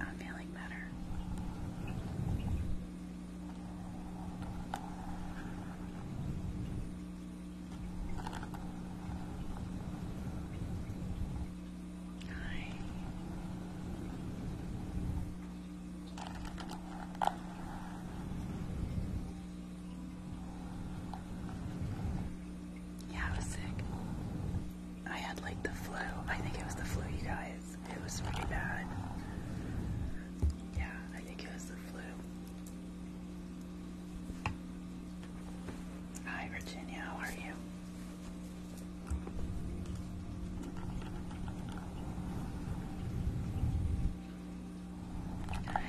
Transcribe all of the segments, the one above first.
I'm feeling better. Hi. Yeah, I was sick. I had like the flu. I think it was the flu, you guys. It was pretty bad. Yeah, I think it was the flu. Hi, Virginia. How are you? Hi.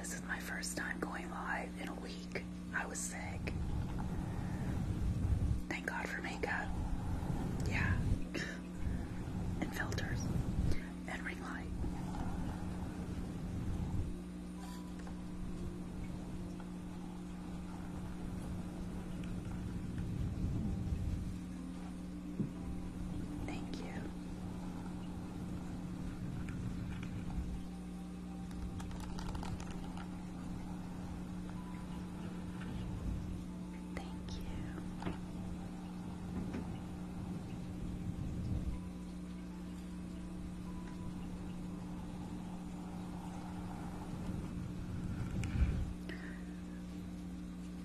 This is my first time going live in a week. I was Thank God for makeup. Yeah. and filters. And ring light. Thank you. Thank you.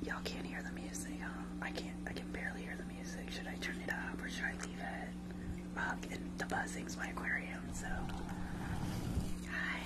Y'all can't hear the music, huh? I can't. I can barely hear the music. Should I turn it up or should I leave it? Uh, the buzzing's my aquarium, so. Hi.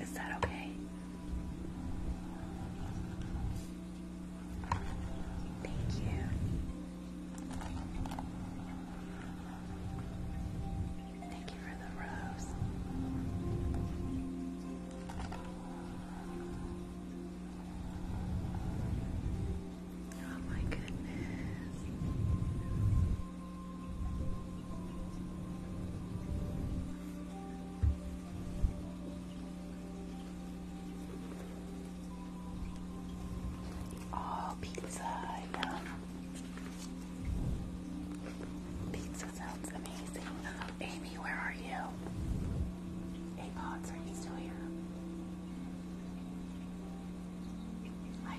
Is that okay? Thank you. Thank you for the rose. Oh my goodness. Oh, pizza, yum. Pizza sounds amazing. Amy, where are you? Apods, are you still here? I've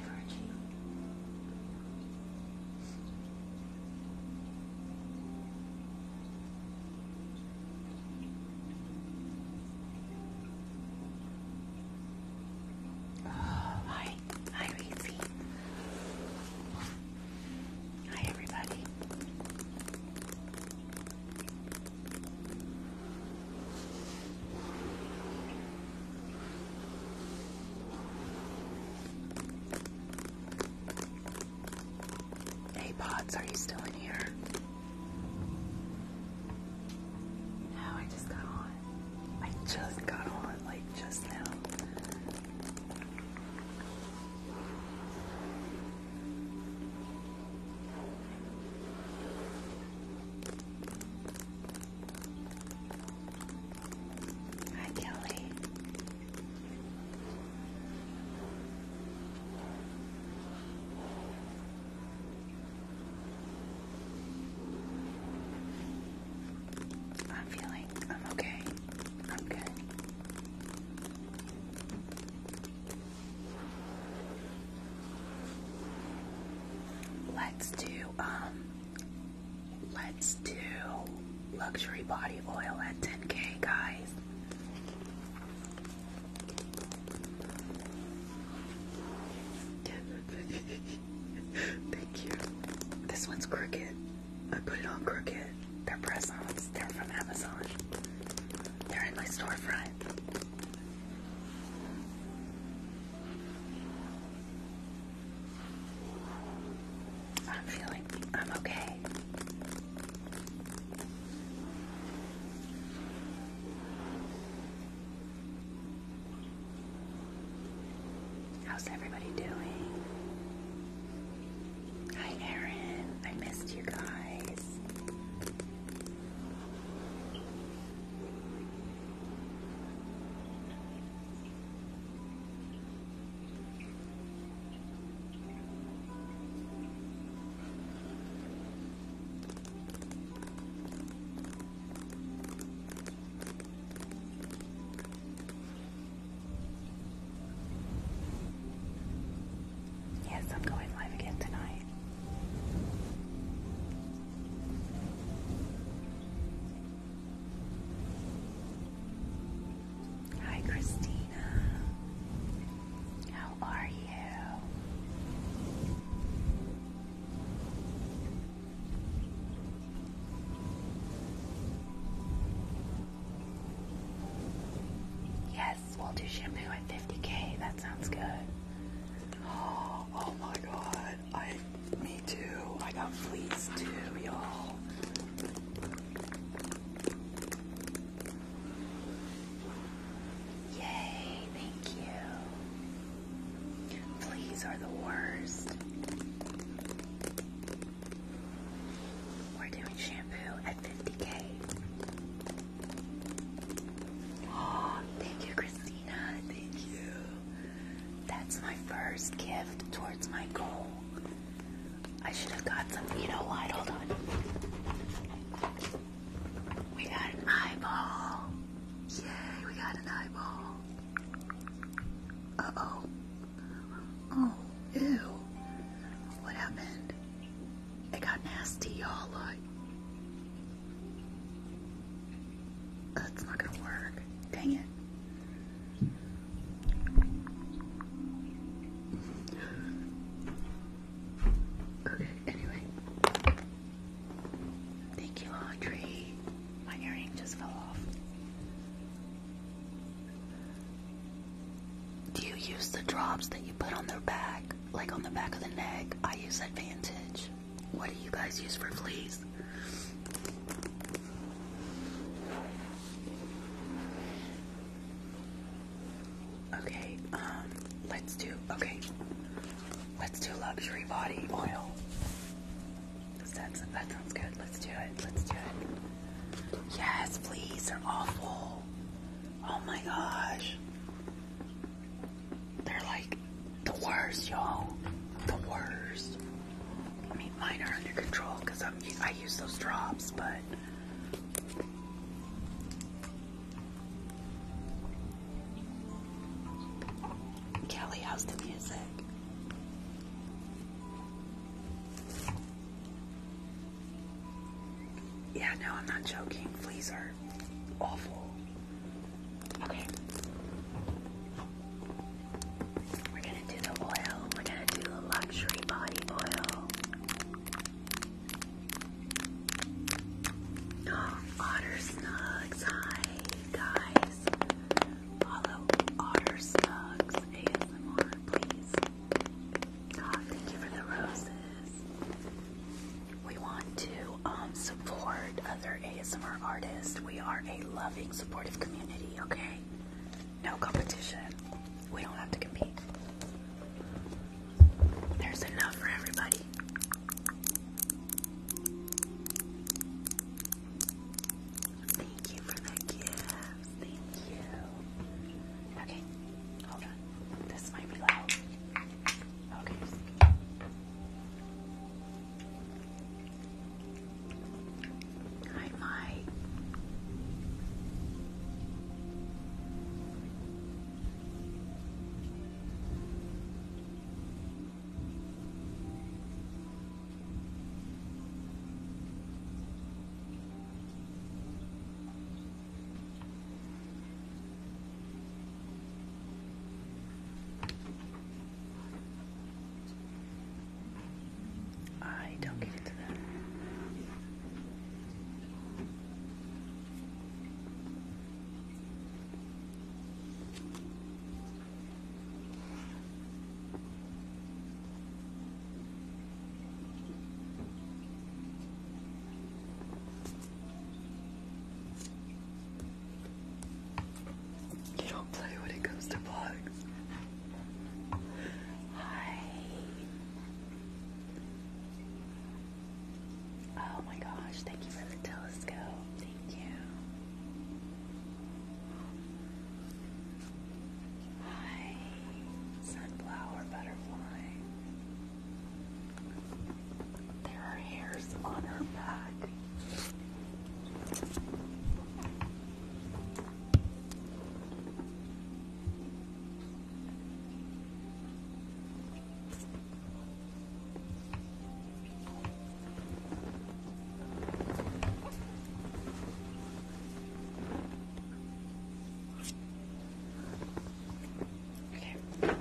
Oh, hi, hi, Reese. Hi, everybody. Hey, pods. are you still in here? No, I just got on. I just got on, like, just now. Hi, Kelly. I'm feeling, I'm okay. I'm good. Let's do, um, Let's do luxury body oil at 10k, guys. Thank you. This one's crooked. I put it on crooked. They're press they're from Amazon. They're in my storefront. I'm feeling I'm okay. How's everybody doing? Hi, Erin. I missed you guys. Yes, I'm going live again tonight. Hi, Christina. How are you? Yes, we'll do shampoo at 50k. That sounds good. Oh, my god me too. I got fleas too, y'all. Yay, thank you. Fleas are the worst. We're doing shampoo at 50k. Oh, thank you, Christina. Thank you. That's my first gift towards my goal. I should have got some. You know what? Hold on. We got an eyeball. Yay, we got an eyeball. Uh oh. Oh, ew. What happened? It got nasty, y'all. Look. That's not gonna work. Dang it. Okay, anyway. Thank you, Audrey. My earring just fell off. Do you use the drops that you put on their back, like on the back of the neck? I use Advantage. What do you guys use for fleas? Okay, um, let's do, okay, let's do luxury body oil. That's, that sounds good. Let's do it. Let's do it. Yes, please. They're awful. Oh my gosh. They're like the worst, y'all. The worst. I mean, mine are under control because I'm I use those drops, but. Kelly, how's the music? Yeah, no, I'm not joking. Fleas are awful. Okay. We're gonna do the oil. We're gonna do the luxury body oil. Otter Snugs. guys. Follow Otter Snugs ASMR, please. God, thank you for the roses. We want to um, support other ASMR artists. We are a loving, supportive community, okay? No competition. We don't have to compete. There's enough for everybody. Thank you for the gift. Thank you. Okay, hold on. This might be loud. Okay. Hi, Mike. I don't get into that. You don't play when it comes to vlogs. Hi. Oh my gosh, thank you for the telescope. Thank you. Hi, sunflower butterfly. There are hairs on her back. Okay.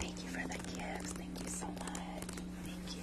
thank you for the gifts. Thank you so much. Thank you.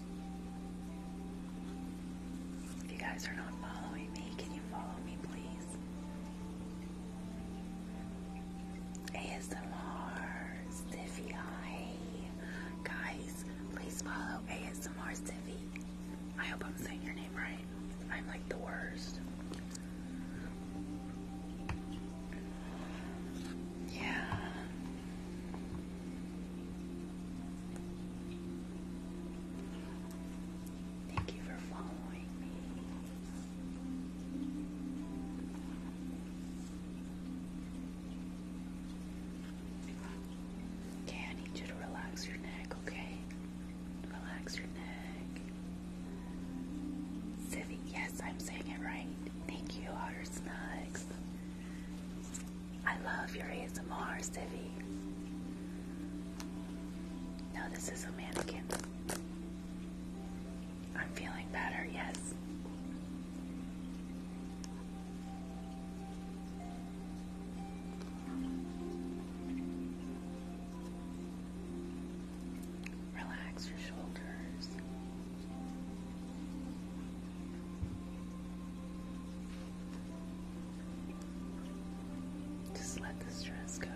you guys are not following me, can you follow me, please? ASMR Stiffy, hi. Guys, please follow ASMR Stiffy. I hope I'm saying your name right. I'm like the worst. Yeah. Thank you for following me. Okay, I need you to relax your neck, okay? Relax your neck. Civi, yes, I'm saying it right. Thank you, Otter Snugs. I love your ASMR, Civi. No, this is a mannequin. I'm feeling better, yes. Relax your shoulders. Just let the stress go.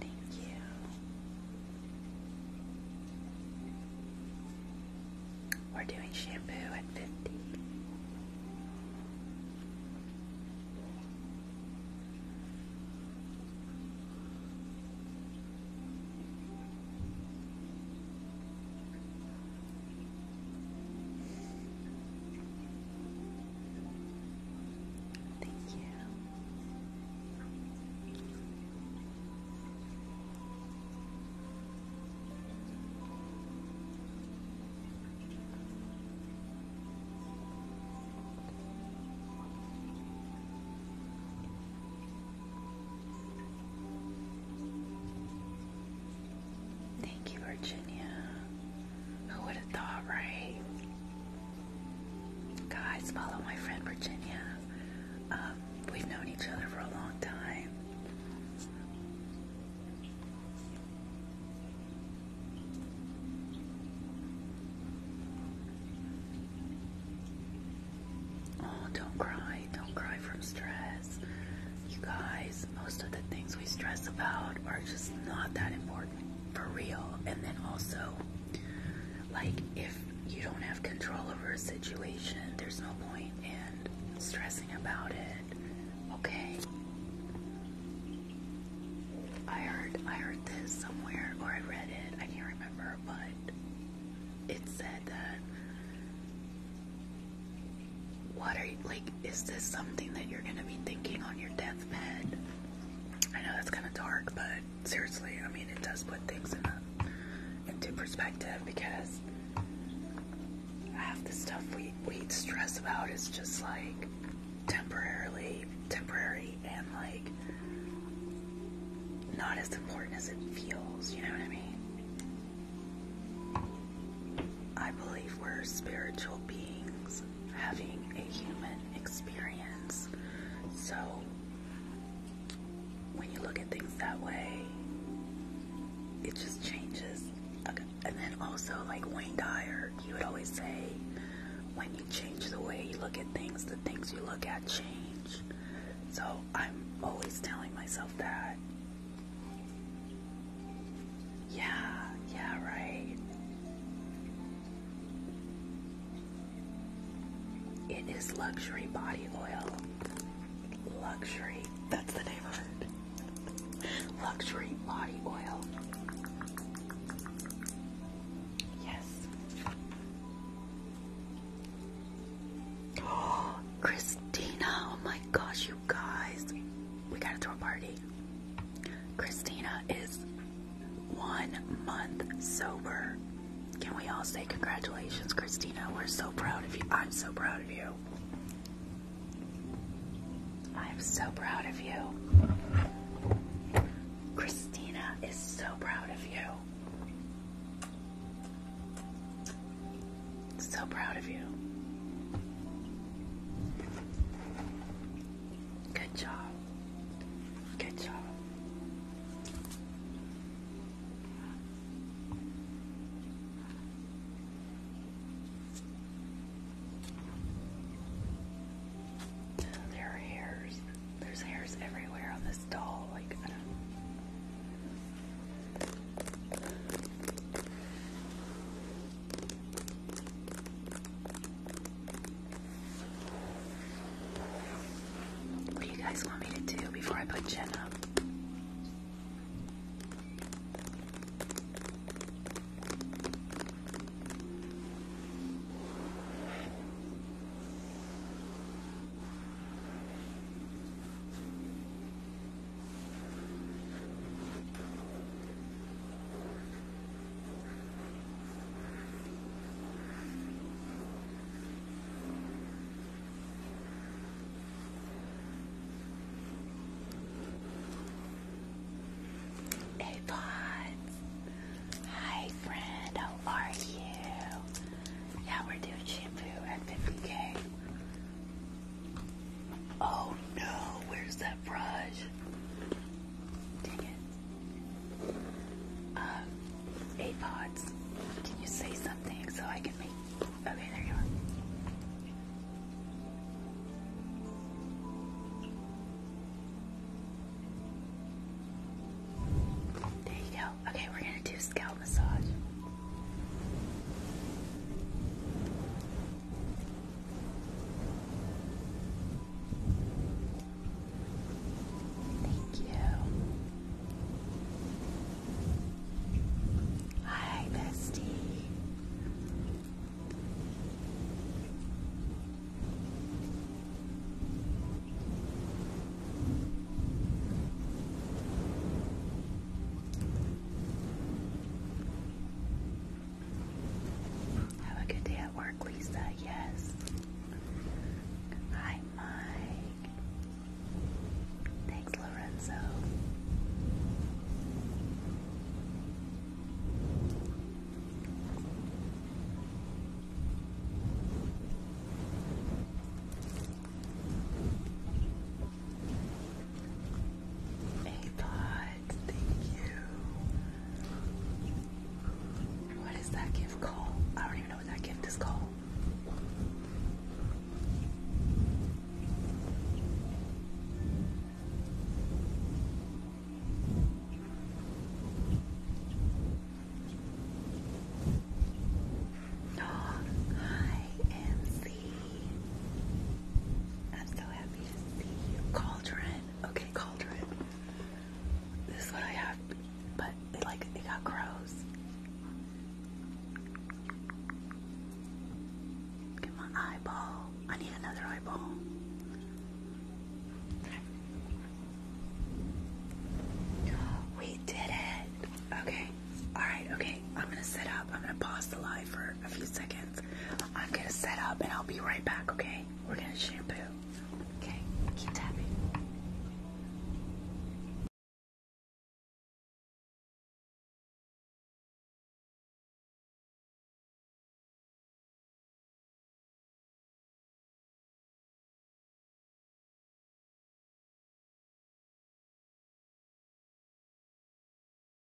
Thank you. We're doing shampoo at 50. Thank you. Thank you, Virginia. Who would have thought, right? Guys, follow my friend Virginia. Um, we've known each other for a long time. Oh, don't cry. Don't cry from stress. You guys, most of the things we stress about are just not that important for real. And then also, like, if you don't have control over a situation, there's no point in stressing about it. Okay. I heard I heard this somewhere or I read it. I can't remember, but it said that what are you like is this something that you're going to be thinking on your death I know that's kind of dark, but seriously, I mean, it does put things into perspective because half the stuff we we stress about is just like temporarily temporary and like not as important as it feels. You know what I mean? I believe we're spiritual beings having a human experience. So when you look at things that way, it just changes. And then also, like Wayne Dyer, he would always say, when you change the way you look at things, the things you look at change. So I'm always telling myself that. Yeah, yeah, right. It is luxury body oil. Luxury, that's the name of it. Luxury body oil. Yes. Oh, Christina, oh my gosh, you guys. We gotta throw a party. Christina is one month sober. Can we all say congratulations, Christina? We're so proud of you. I'm so proud of you. I'm so proud of you. Christina is so proud of you. So proud of you. Good job. Good job. there are hairs. There's hairs everywhere on this doll. Like, what do you guys want me to do before I put Jen up? Hey Hi friend, how are you? Yeah, we're doing shampoo at 50 Oh no, where's that brush? Dang it. Um, AirPods, can you say something so I can make. Okay, there you are. There you go. Okay, we're gonna do scalp massage. Thank you. Hi, bestie. Have a good day at work, Lisa. Yes. Hi, Mike. Thanks, Lorenzo. Hey, what is that gift called? I don't even know what that gift is called. No, hi, MC. I'm so happy to see you. Cauldron. Okay cauldron. This is what I have, but like it got gross. Get my eyeball. I need another eyeball. We did it. Okay. All right. Okay. I'm gonna sit up. I'm gonna pause the live for a few seconds. I'm gonna set up and I'll be right back, okay? We're gonna shampoo. Okay, keep tapping.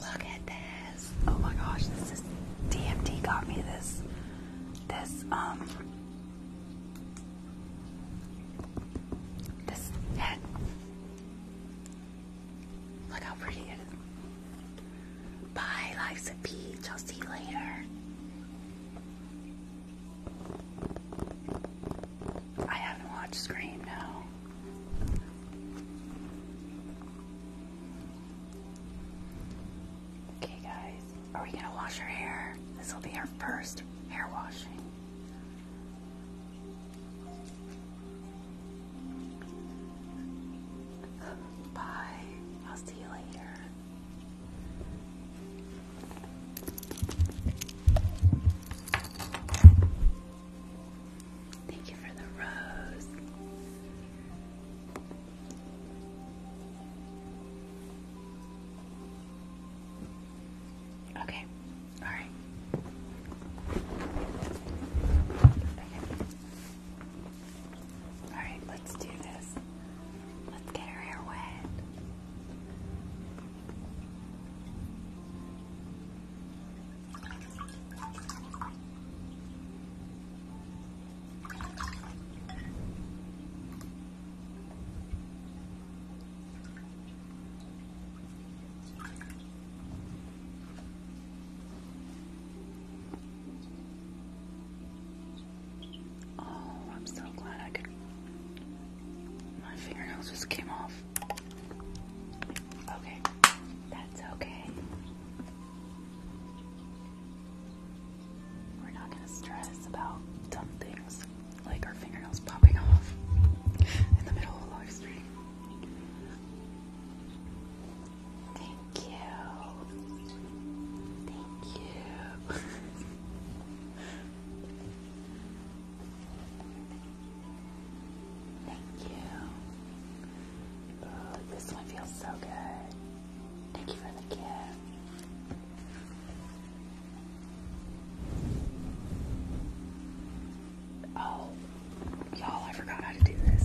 Look at this. Oh my gosh, this is DMT got me this this um this head. Look how pretty it is. Bye, life's a peach. will see you later. I haven't watched Scream, no. Okay, guys, are we gonna wash our hair? This will be our first hair washing. Bye. I'll see you later. Thank you for the rose. Okay, all right. Okay. All right, let's do this. Let's get her hair wet. Oh, I'm so glad I could. My fingernails just came off. Okay, that's okay. We're not gonna stress about dumb things like our fingernails popping off in the middle of a live stream. Thank you. Thank you. Thank you. Oh, this one feels so good. Thank you for the gift. Oh, y'all, I forgot how to do this.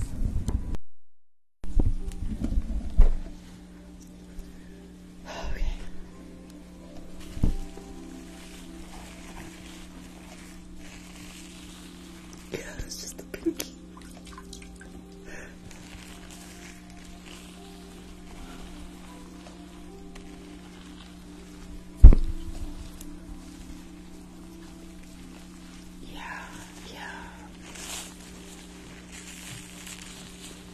Yeah, it's just the pinky. Yeah, yeah.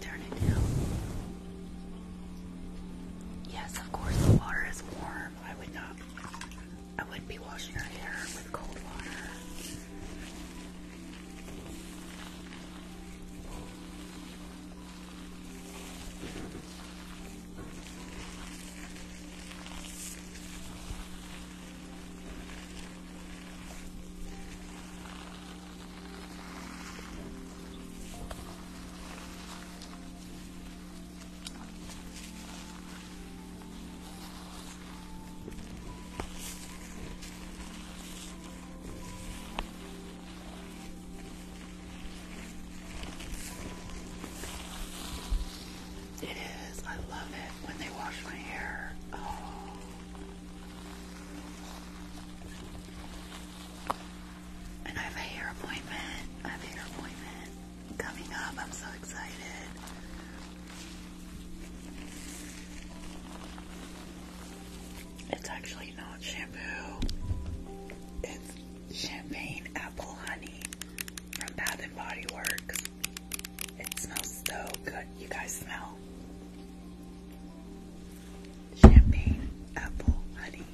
Turn it down. Yes, of course the water is warm. I would not I wouldn't be washing her hair with cold water. It is. I love it when they wash my hair. Oh, and I have a hair appointment. I have a hair appointment coming up. I'm so excited. It's actually not shampoo. It's champagne apple honey from Bath and Body Works. It smells so good. You guys smell champagne, apple, honey.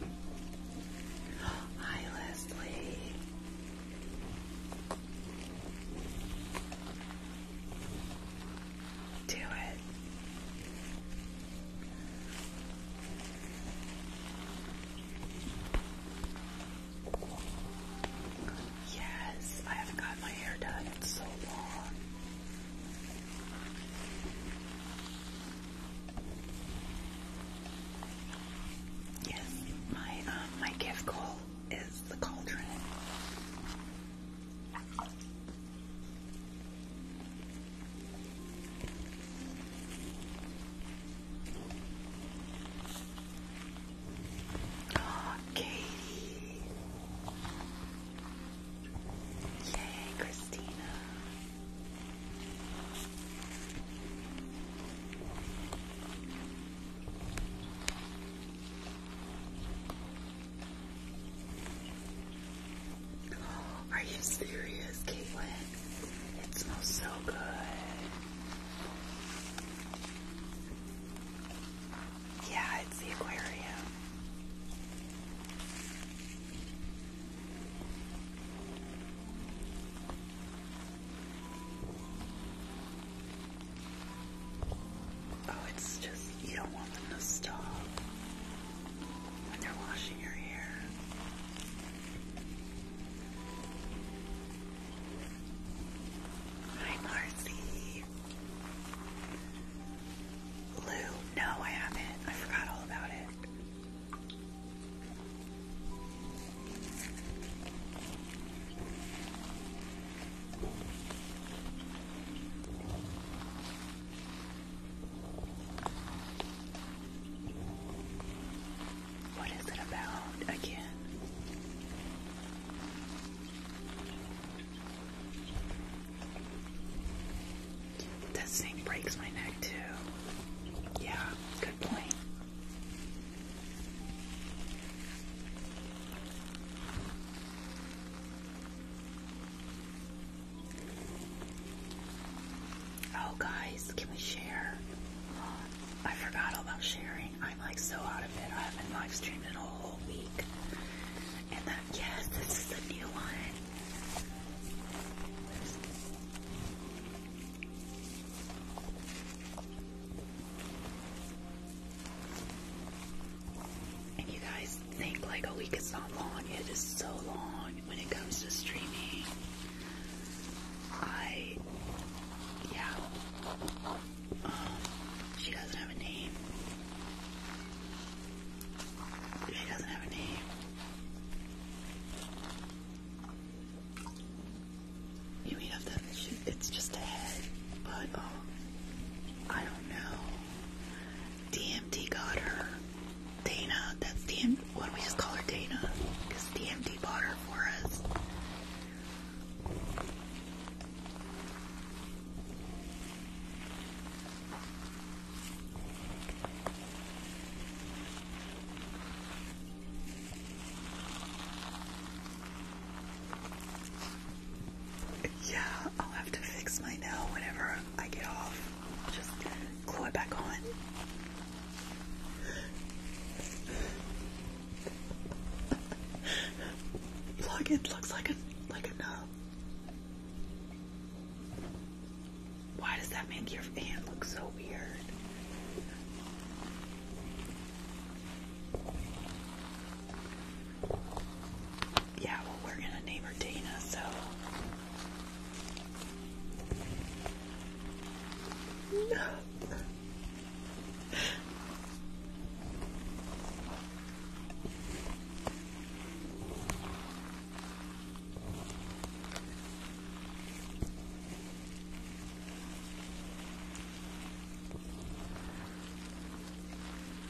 Hi, Leslie. Do it. Yes, I haven't got my hair done in so long. Yes, my um, my gift goal is the cauldron. Oh, Katie. Yay, Christina. Are you serious, Caitlin? It smells so good. Yeah, it's the aquarium. Oh, it's just, you don't want them to stop when they're washing your hair. Hi, Marcy. Lou, no, I haven't. I forgot all about it. What is it about again? That snake breaks my neck too. Yeah, good point. Oh, guys, can we share? I forgot about sharing. I'm like so out of it. I haven't live streamed in a whole week. And that, uh, yes, this is the new one. you guys think like a week is not long. It is so long when it comes to streaming. I, yeah. She doesn't have a name. She doesn't have a name. You mean of It's just a head, but oh, I don't know. DMT got her. Dana, that's DMT. Why don't we just call her Dana? Because DMT bought her for us. Yeah, I'll have to fix my nail whenever I get off. just glue it back on. Plug it looks like a like a nub. Why does that make your hand look so weird? Yeah, well, we're gonna name her Dana, so.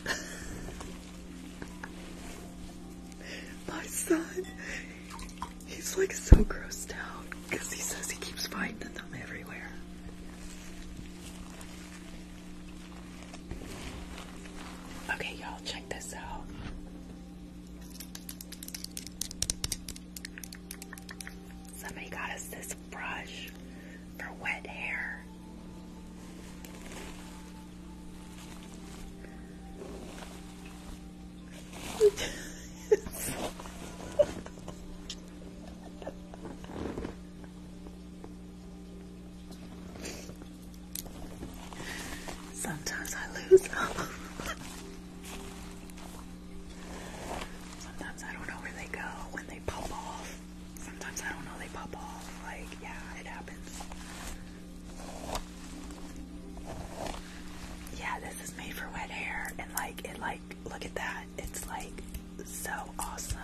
My son, he's like so grossed out because he says he keeps finding them everywhere. Okay, y'all, check this out. Somebody got us this brush for wet hair. Sometimes I lose them. Sometimes I don't know where they go when they pop off. Sometimes I don't know they pop off. Like, yeah, it happens. Yeah, this is made for wet hair and like it like look at that. It's like so awesome.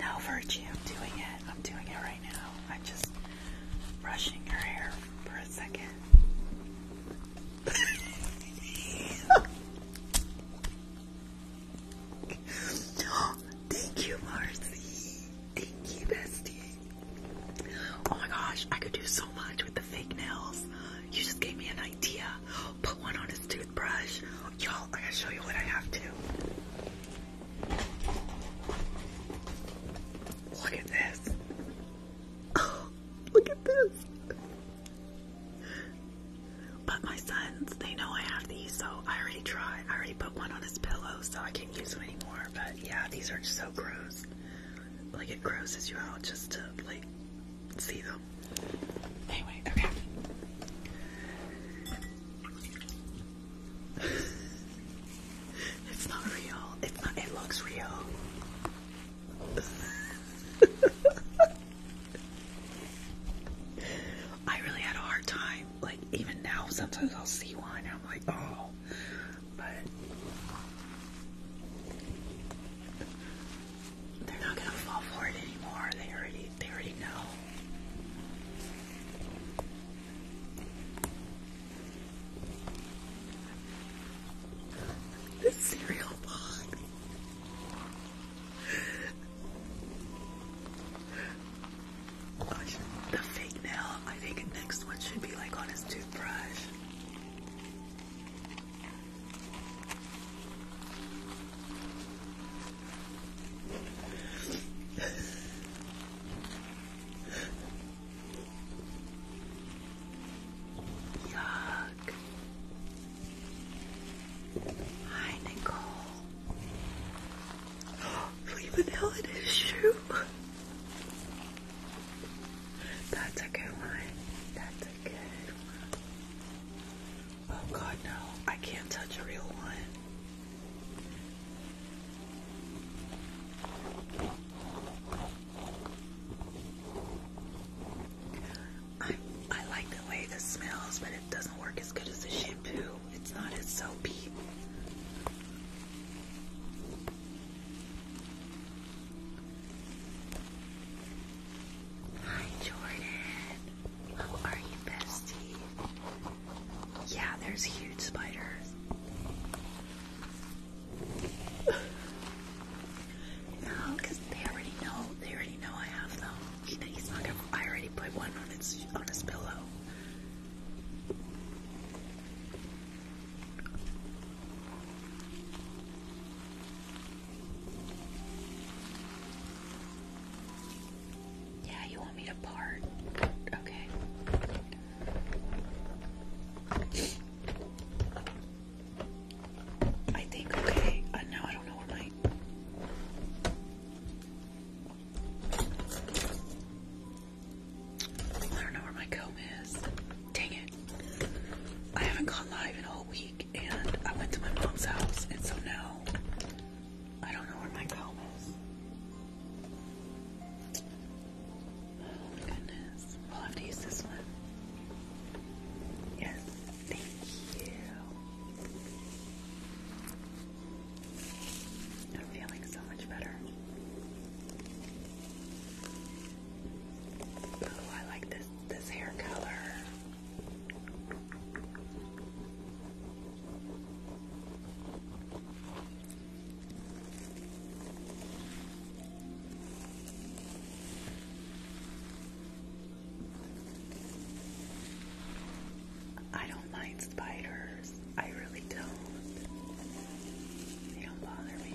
No, Virgie, I'm doing it. I'm doing it right now. I'm just brushing your hair for a second. Thank you, Marcy. Thank you, bestie. Oh my gosh, I could do so so much with the fake nails. You just gave me an idea. Put one on his toothbrush. Y'all, I gotta show you what I have to. Look at this. Oh, look at this. But my sons, they know I have these, so I already tried. I already put one on his pillow, so I can't use them anymore. But yeah, these are so gross. Like, it grosses you out just to, like, see them. Anyway, okay. it's not real. It's not. It looks real. I really had a hard time. Like even now, sometimes I'll see one and I'm like, oh, but they're not gonna fall for it anymore. They already they already know. This cereal box. the fake nail. I think next one should be like on his toothbrush. Yuck. Hi, Nicole. Flea vanilla in his That's a good one. That's Oh god, no. I can't touch a real one. I I like the way this smells, but it doesn't work as good as the shampoo. It's not as soapy. Hi, Jordan. How are you, bestie? Yeah, there's huge spiders. no, they already know. They already know I have them. he's not gonna. I already put one on its on his pillow. Yeah, you want me to part? Okay. I think okay. Uh, now I don't know where my. I don't know where my comb is. Dang it! I haven't gone live in a whole week and I went to my mom's house, and so now I don't know where my comb is. Oh goodness. we'll have to use this one. Yes, thank you. I'm feeling so much better. Oh, I like this this hair color. I don't mind spiders. I really don't. They don't bother me.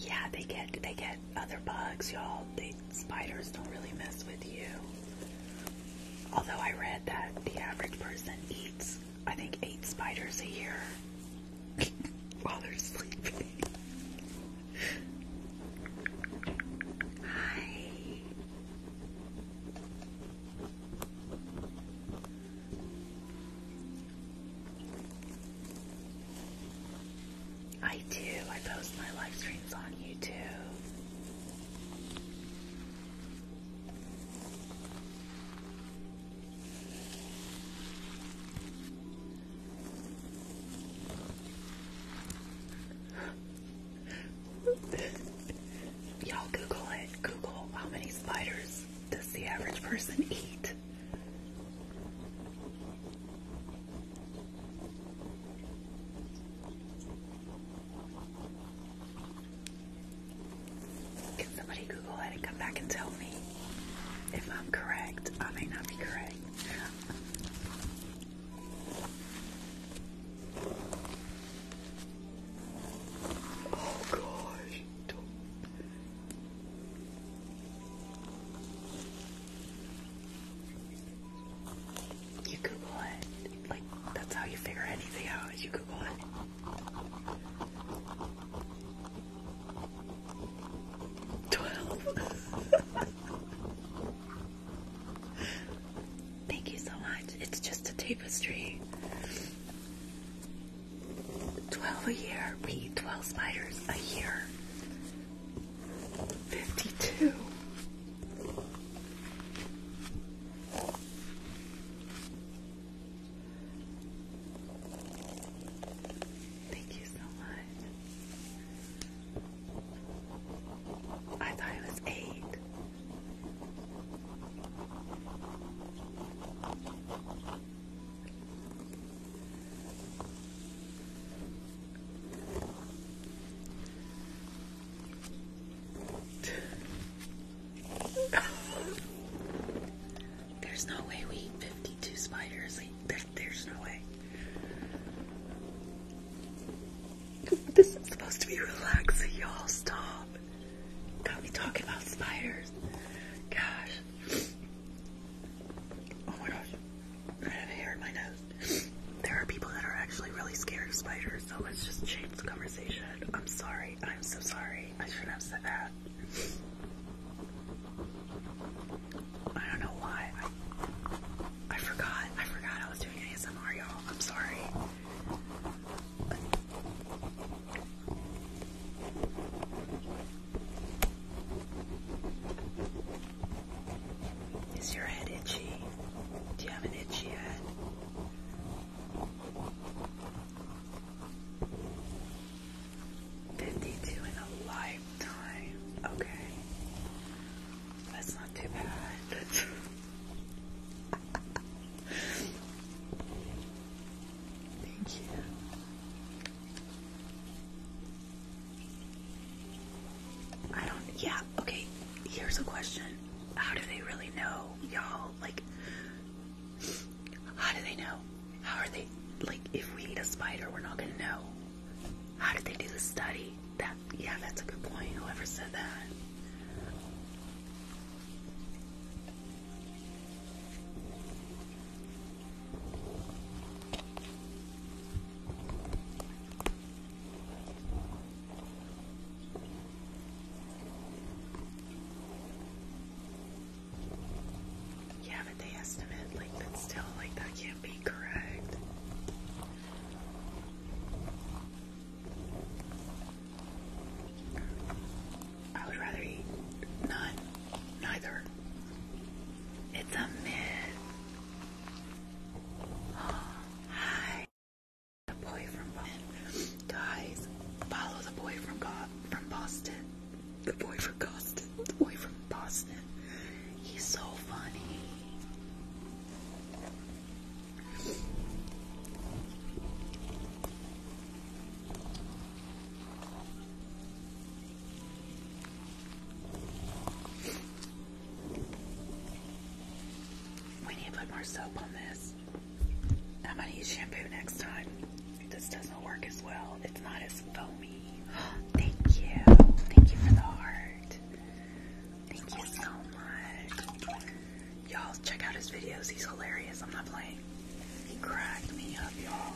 Yeah, they get they get other bugs, y'all. The spiders don't really mess with you. Although I read that the average person eats, I think, eight spiders a year while they're sleeping. Hi. I do. I post my live streams on YouTube. Y'all Google it. Google how many spiders does the average person eat? Can somebody Google it and come back and tell me if I'm correct? I may not be correct. oh gosh. You Google it. Like, that's how you figure anything out, you Google it. Twelve. Thank you so much. It's just a tapestry. Twelve a year. We eat twelve spiders a year. 52. Thank you so much. I thought it was eight. there's no way we eat 52 spiders. there's no way. This is supposed to be relaxing, y'all. Stop. Got me talking about spiders. Gosh. Oh my gosh. I have hair in my nose. There are people that are actually really scared of spiders, so let's just change the conversation. I'm sorry. I'm so sorry. I shouldn't have said that. I don't know why. I, I forgot. I forgot I was doing ASMR, y'all. I'm sorry. Is your head itchy? Do you have an itchy head? Fifty-two in a lifetime. Okay, that's not too bad. Thank you. I don't, yeah, okay, here's a question. How do they really know, y'all? Like, how do they know? How are they, like, if we eat a spider, we're not gonna know. How did they do the study? That, yeah, that's a good point, whoever said that. Yeah, but the estimate, like, that's still, like, that can't be correct. I would rather eat none, neither. It's a myth hi. The boy from Boston. Guys, follow the boy from Boston. The boy from Boston. The boy from Boston. He's so funny. We need to put more soap on this. I'm gonna use shampoo next time. This doesn't work as well. It's not as foamy. Thank you. Thank you for the heart. Thank you so much. Y'all check out his videos. He's hilarious. I'm not playing. He cracked me up, y'all.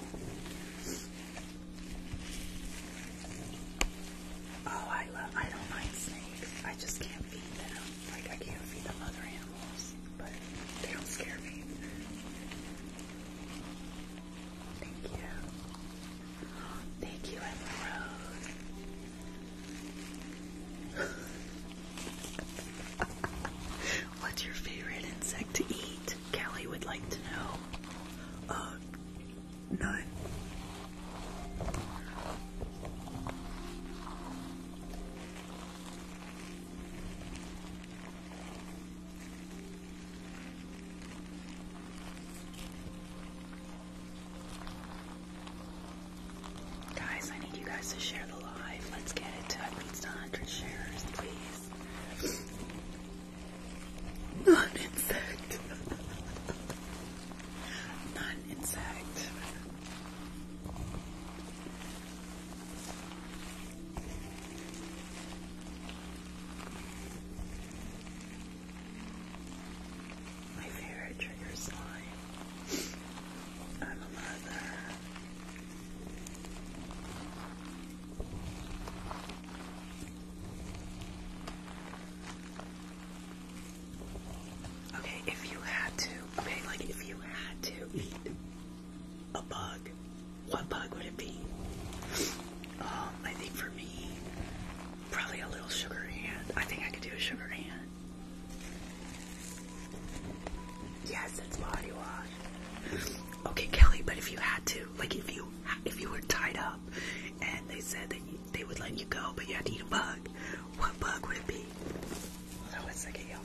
Oh, I love, I don't mind snakes. I just can't feed them. Like, I can't feed them other animals, but they don't scare me. Thank you. Thank you, Rose. What's your favorite insect to eat? Kelly would like to know. Uh, no. Guys, I need you guys to share the live. Let's get it to at least 100 shares, please. Not insect Non-insect. My favorite trigger slime. I'm a mother. Okay, if you had to, okay, like if you had to eat a bug, what bug would it be? Um, I think for me, probably a little sugar hand. I think I could do a sugar hand. Yes, it's body wash. Okay, Kelly, but if you had to, like if you if you were tied up and they said that they would let you go, but you had to eat a bug, what bug would it be? Hold on one second, y'all.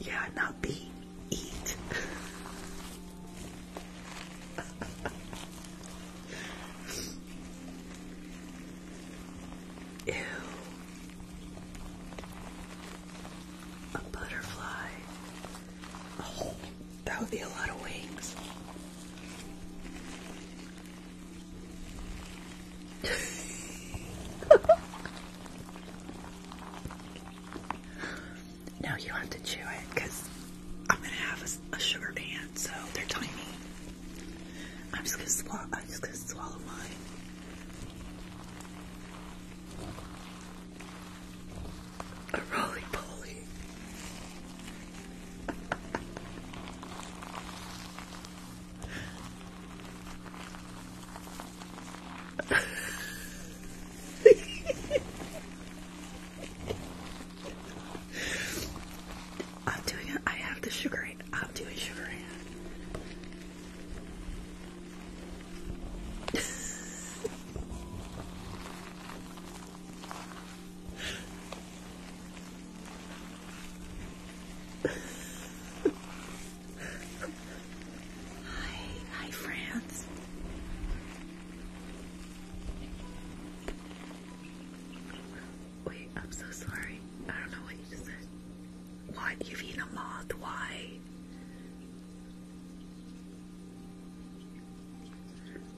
Yeah, not be eat. Ew. A butterfly. Oh, that would be a lot of wings. now you have to chew it because I'm going to have a, sugar hand, so they're tiny. I'm just gonna swallow. I'm just gonna swallow mine. A roly poly. I'm doing it. I have the sugar in. I'm doing sugar in. hi, hi, France. Wait, I'm so sorry. I don't know what you just said. What? You've eaten a moth? Why?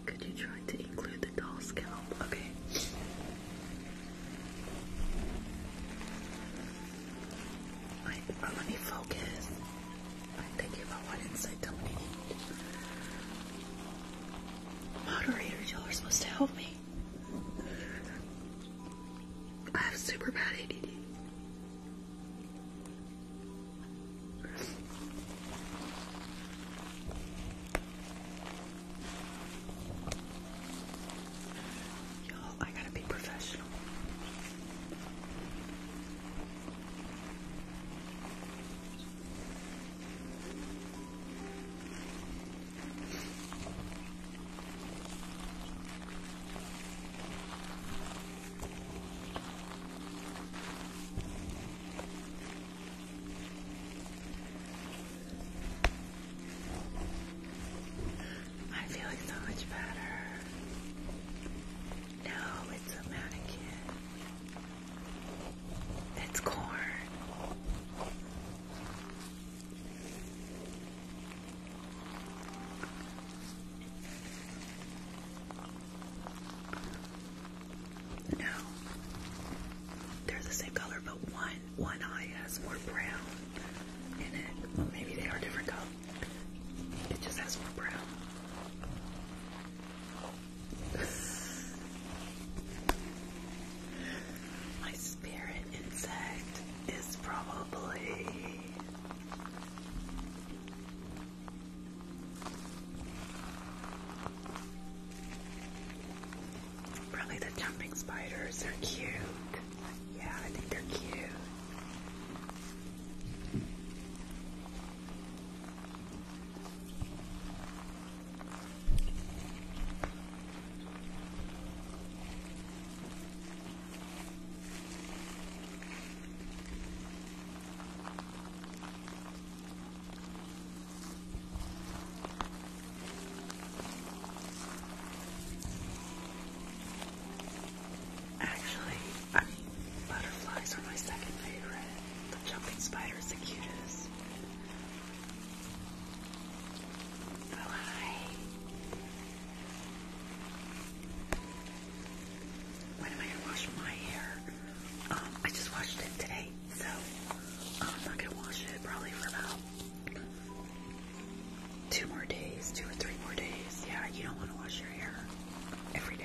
Could you try to include the doll scalp? Okay. Wait, let me focus. I'm thinking about what inside to eat. Moderators, y'all are supposed to help me. I have super bad ADD. Y'all, I gotta be professional. I'm feeling so much better. No, it's a mannequin. It's corn. No, they're the same color, but one one eye has more brown in it. Well, maybe they are different color. It just has more brown. My spirit insect is probably probably the jumping spiders are cute. Yeah, I think they're cute. Actually, butterflies are my second favorite. The jumping spider is the cutest. When am I gonna wash my hair? Um, I just washed it today, so um, I'm not gonna wash it probably for about two more days, two or three more days. Yeah, you don't want to wash your hair every day.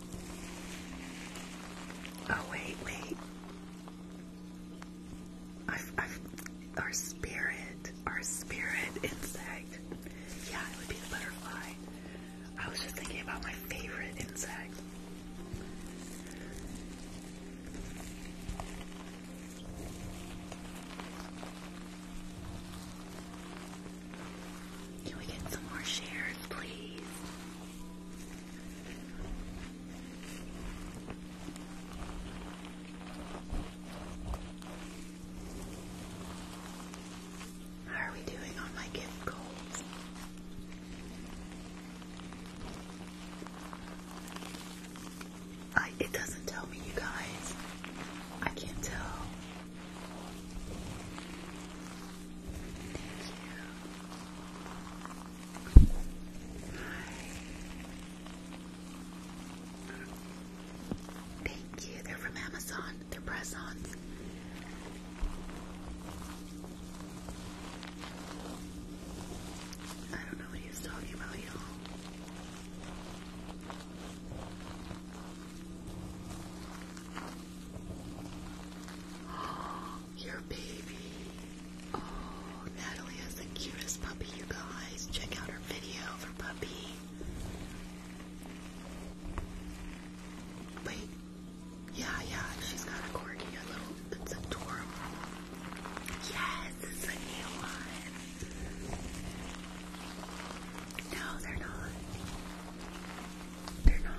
Oh wait, wait. our spirit, our spirit insect. Yeah, it would be the butterfly. I was just thinking about my favorite insect. Can we get some more shares, please? How are we doing on my gift goals? it doesn't tell me, you guys. I can't tell. Thank you. They're from Amazon. They're press-ons. I don't know what he was talking about, y'all. Oh, your baby. Oh, Natalie has the cutest puppy, you guys. Check out her video for puppy. Wait. Yeah, yeah, she's got a corgi, little, it's Yes, it's a new one. No, they're they're not.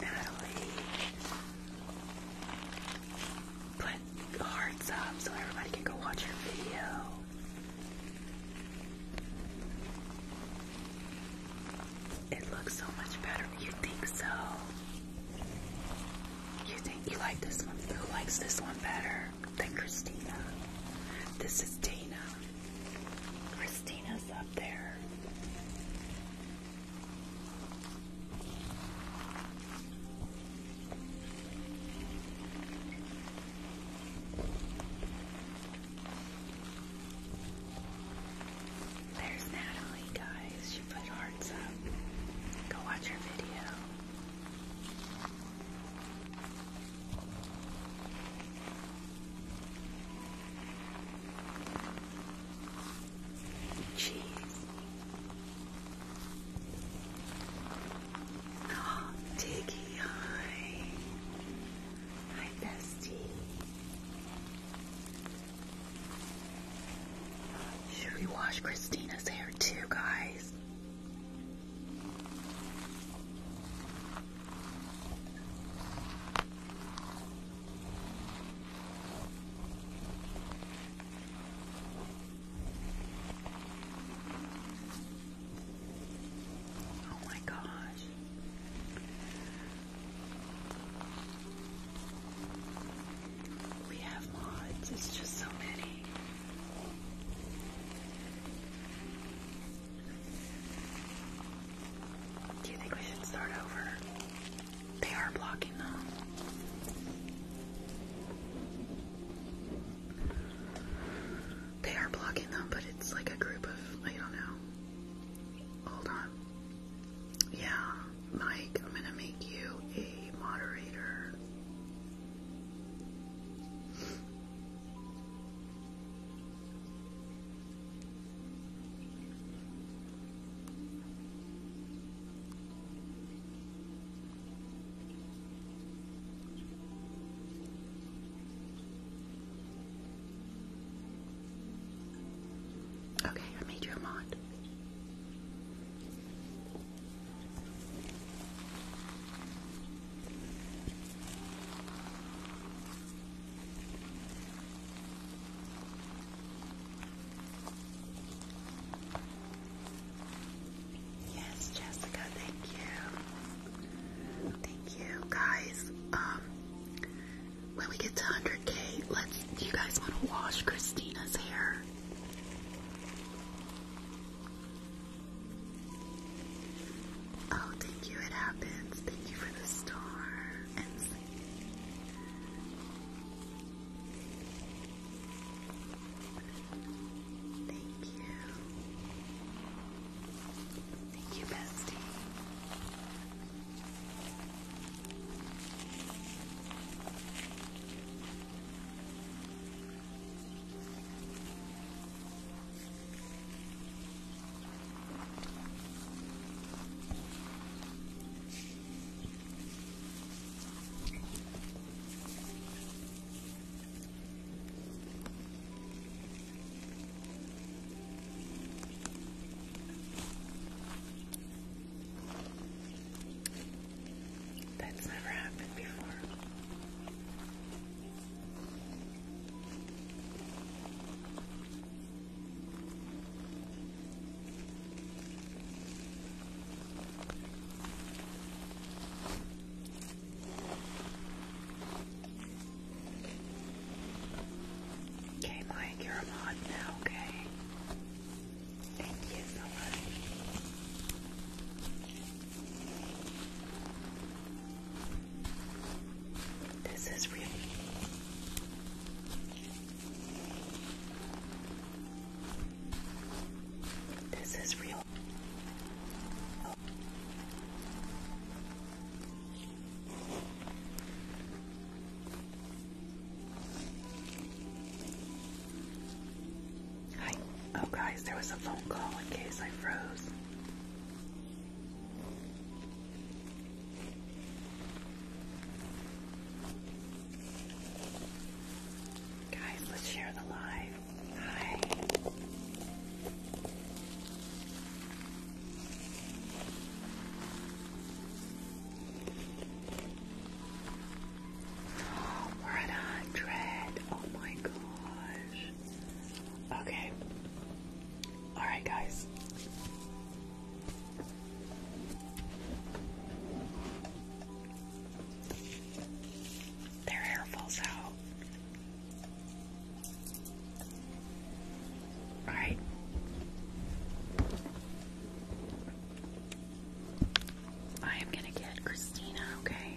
Natalie put hearts up so everybody can go watch her video. It looks so much better. You think so? You think you like this one? Who likes this one better? better Christina. This is Dana. Christina's up there. There's Natalie, guys. She put hearts up. Go watch her video. Cheese. Oh, Diggy, hi. Hi, bestie. Should we wash Christina's hair too, guys? Oh my gosh. We have mods, it's just so many. Do you think we should start over? They are blocking them. They are blocking them, but it's like a group of, I don't know. Hold on. Yeah, Mike, I'm gonna make you a moderator. Okay, I made you mod. Yes, Jessica, thank you. Thank you, guys. Um, when we get to 100k, let's. Do you guys want to wash Christina's hair? Oh, thank you, it happens. Thank you for the star Thank you. Thank you, bestie. That's never happened before. Okay, Mike, you're a mod now, okay? Thank you so much. This is really this is real. Hi. Oh, guys, there was a phone call in case I froze. Guys, let's share the live. Hi. Oh, we're at 100. Oh my gosh. Okay. Alright, guys. Their hair falls out. Alright. I am gonna get Christina, okay?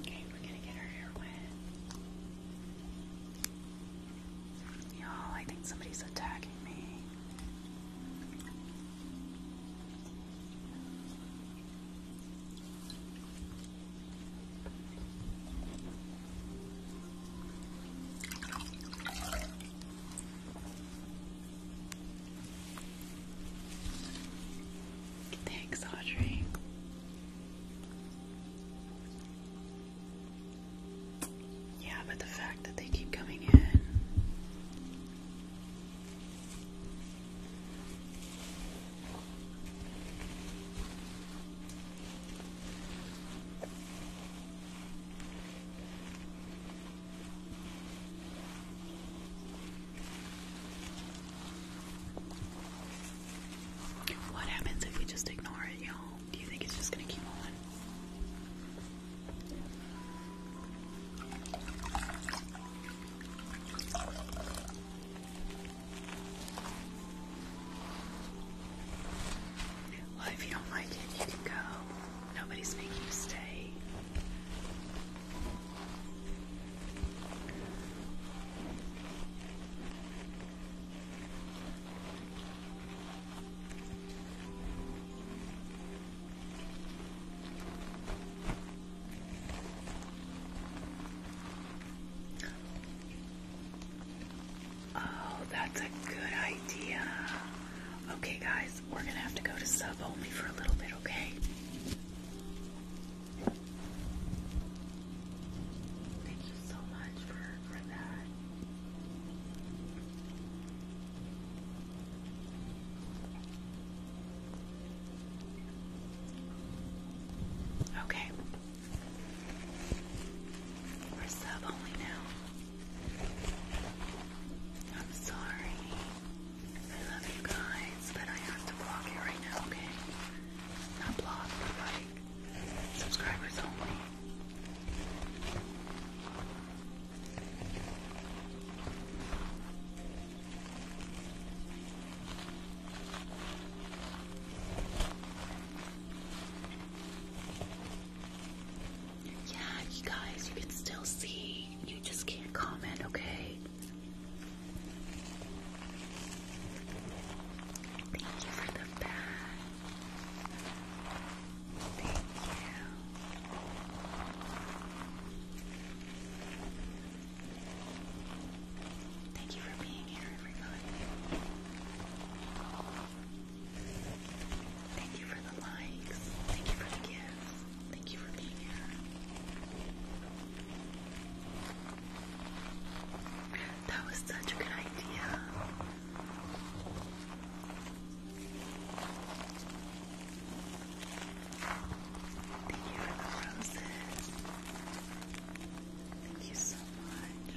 Okay, we're gonna get our hair wet. Y'all, I think somebody's attacking me. Thanks, Audrey. Yeah, but the fact that they keep coming in. What happens if we just ignore it, y'all? Do you think it's just gonna keep on? Well, if you don't like it, you can go. Nobody's making you stay. Oh, that's a good idea. Okay, guys, we're gonna have to go to sub only for a little bit, okay? Thank you so much for, for that. Okay, we're sub only now. I'm sorry. I love you guys, but I have to block you right now, okay? Not block, but like subscribers only. Yeah, you guys, you can still see. You just can't comment, okay? Thank you for the bag. Thank you. Thank you for being here, everybody. Thank you for the likes. Thank you for the gifts. Thank you for being here. That was such a good idea. Thank you for the roses. Thank you so much.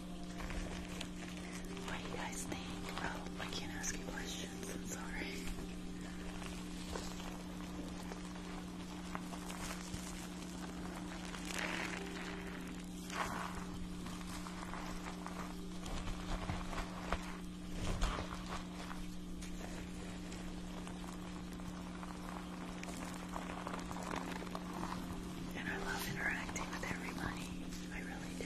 What do you guys think? Well, I can't ask you questions, I'm sorry. And I love interacting with everybody. I really do.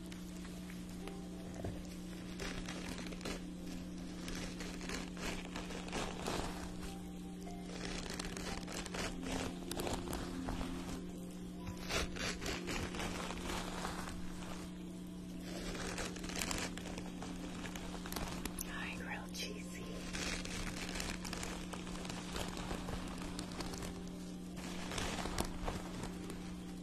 Hi, real cheesy.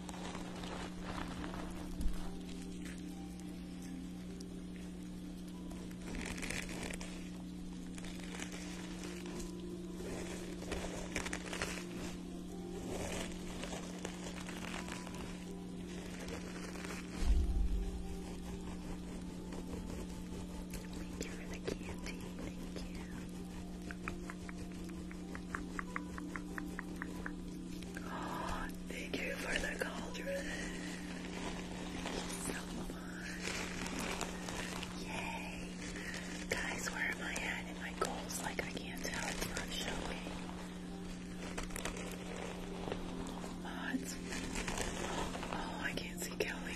Thank you for the candy, thank you. Oh, thank you for the cauldron. Thank you Yay. Guys, where am I at in my goals? Like, I can't tell. It's not showing. What? Oh, I can't see Kelly.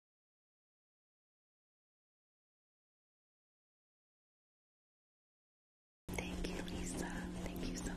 Thank you, Lisa. Thank you so much.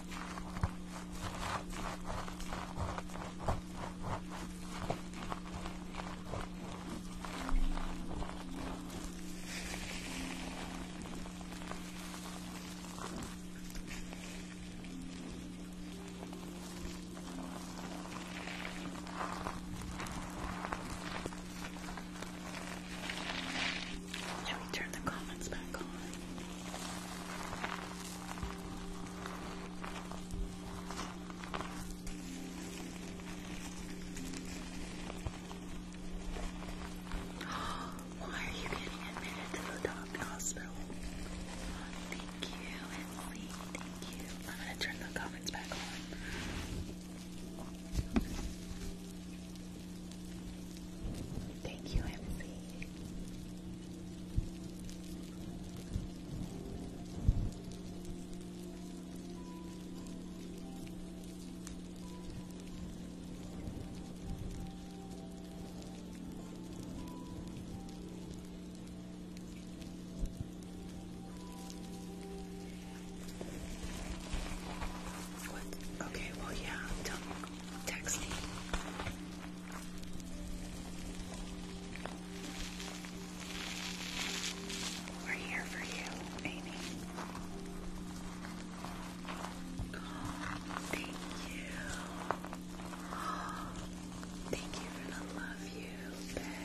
Now we turn the comments back on. Why are you getting admitted to the dog hospital? Thank you, Emily. Thank you. I'm gonna turn the comments back on. Thank you, Emily. What? Okay, well, yeah, tell we're here for you, Amy. thank you. thank you for the love you back.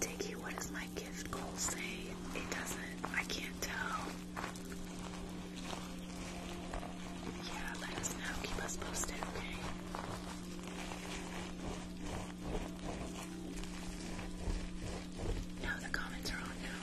Diggy, what does my gift goal say? It doesn't. I can't tell. Yeah, let us know. Keep us posted, okay? No, the comments are on now.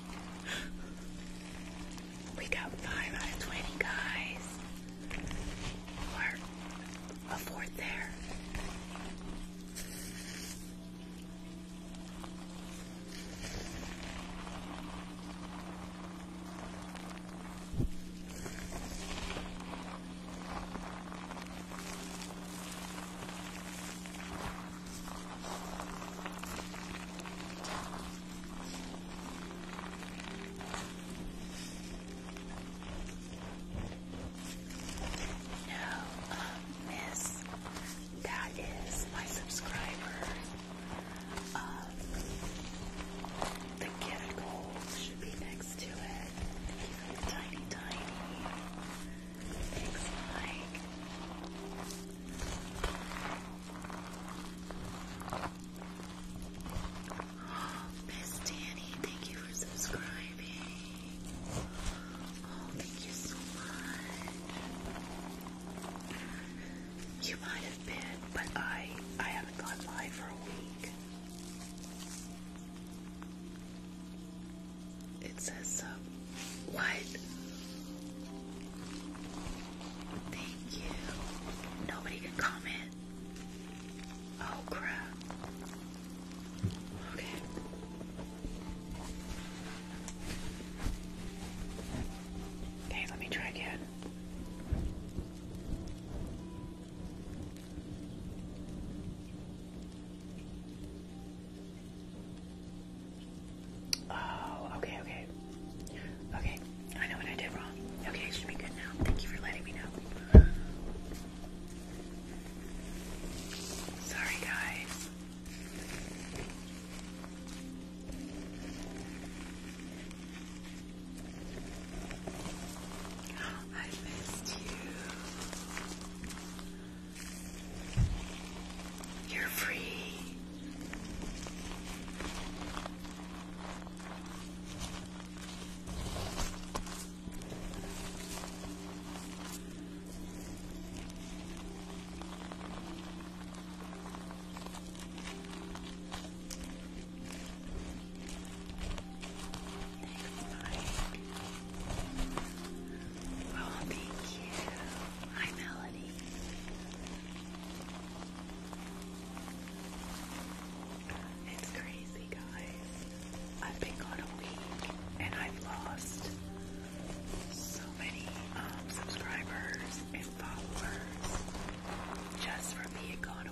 We got five out of twenty guys. Or a fourth there. No, um, Miss, that is my subscriber. Um, the gift gold should be next to it. Tiny, tiny. Thanks, Miss Danny, thank you for subscribing. Oh, thank you so much. You might have been, but I I haven't gone live for a week it says uh, what? Thank you. Nobody can comment. Oh crap. Okay. Okay, let me try again. Oh, okay, okay. Okay, I know what I did wrong. Okay, it should be good now. Thank you for letting me know. Sorry, guys. I missed you. You're free. Oh, thank you. Hi, Melody. It's crazy, guys. I've been gone a week and I've lost so many um, subscribers and followers just from being gone a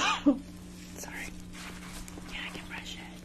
week. Sorry. Yeah, I can brush it.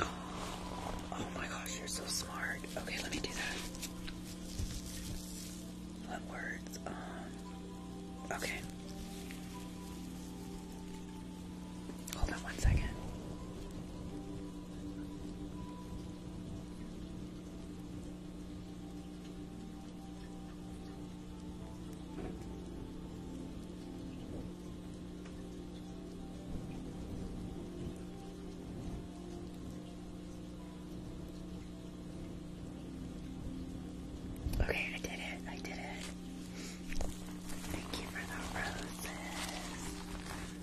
Oh my gosh, you're so smart. Okay, let me do that. Let words um okay. Hold on one second. Okay, I did it. I did it. Thank you for the roses.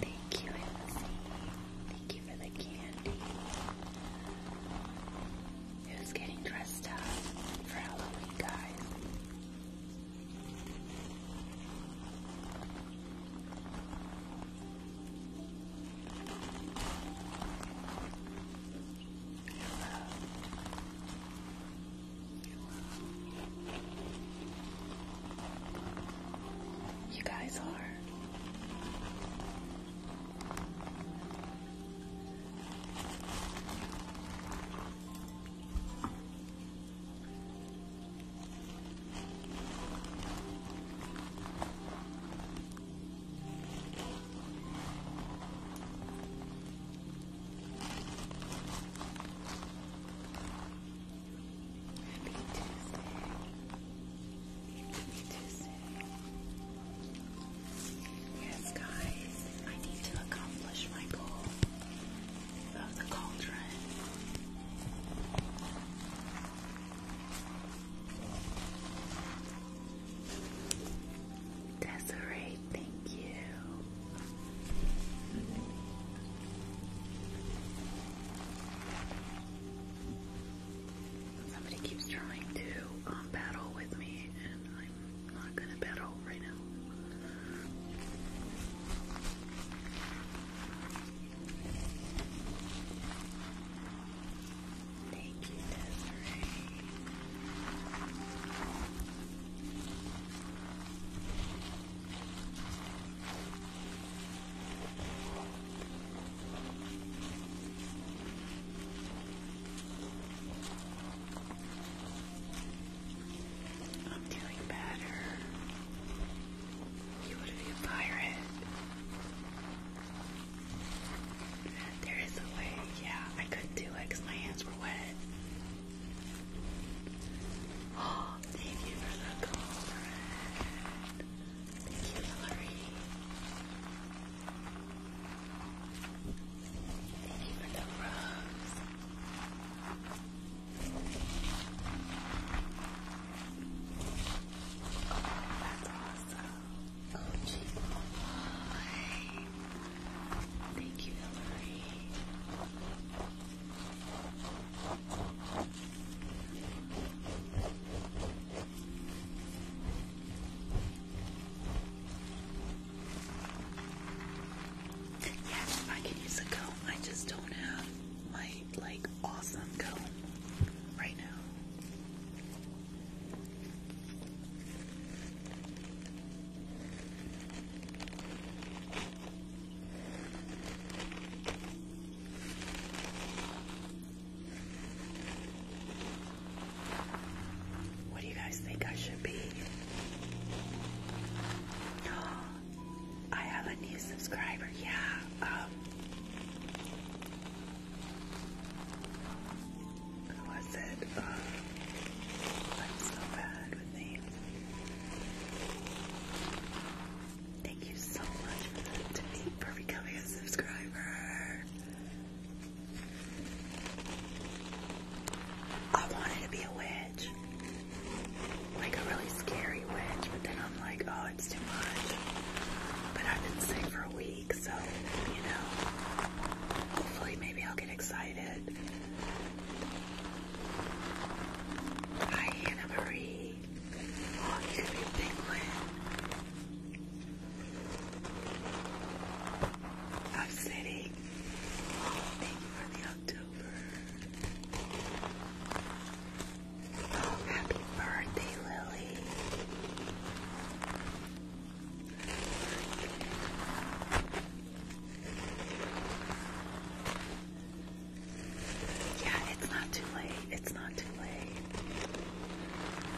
Thank you, Elsie. Thank you for the candy. Who's getting dressed up for Halloween, guys? You guys are. Happy Tuesday. Happy Tuesday. Yes, guys, I need to accomplish my goal of the cauldron. Desiree, thank you. Somebody keeps trying to um, battle with me, and I'm not gonna battle right now. Thank you, Desiree. I'm doing better. You would be a pirate. There is a way. Yeah, I couldn't do it because my hands were wet. Oh, thank you for the call, Thank you, Hillary. Thank you for the rose. Oh, that's awesome. Oh, gee, oh Thank you, Hillary. Yes, I can use a comb. I just don't have my like awesome comb right now. What do you guys think I should be? Oh, I have a new subscriber, yeah. Um, who it? Uh, I'm so bad with names. Thank you so much to me for becoming a subscriber. I wanted to be a witch. Like a really scary witch, but then I'm like, oh, it's too much. But I've been sick for a week, so, you know, hopefully maybe I'll get excited. Hi, Anna Marie. I'm sitting. Oh, for the October. Oh, happy birthday, Lily. Yeah, it's not too late. It's not too late.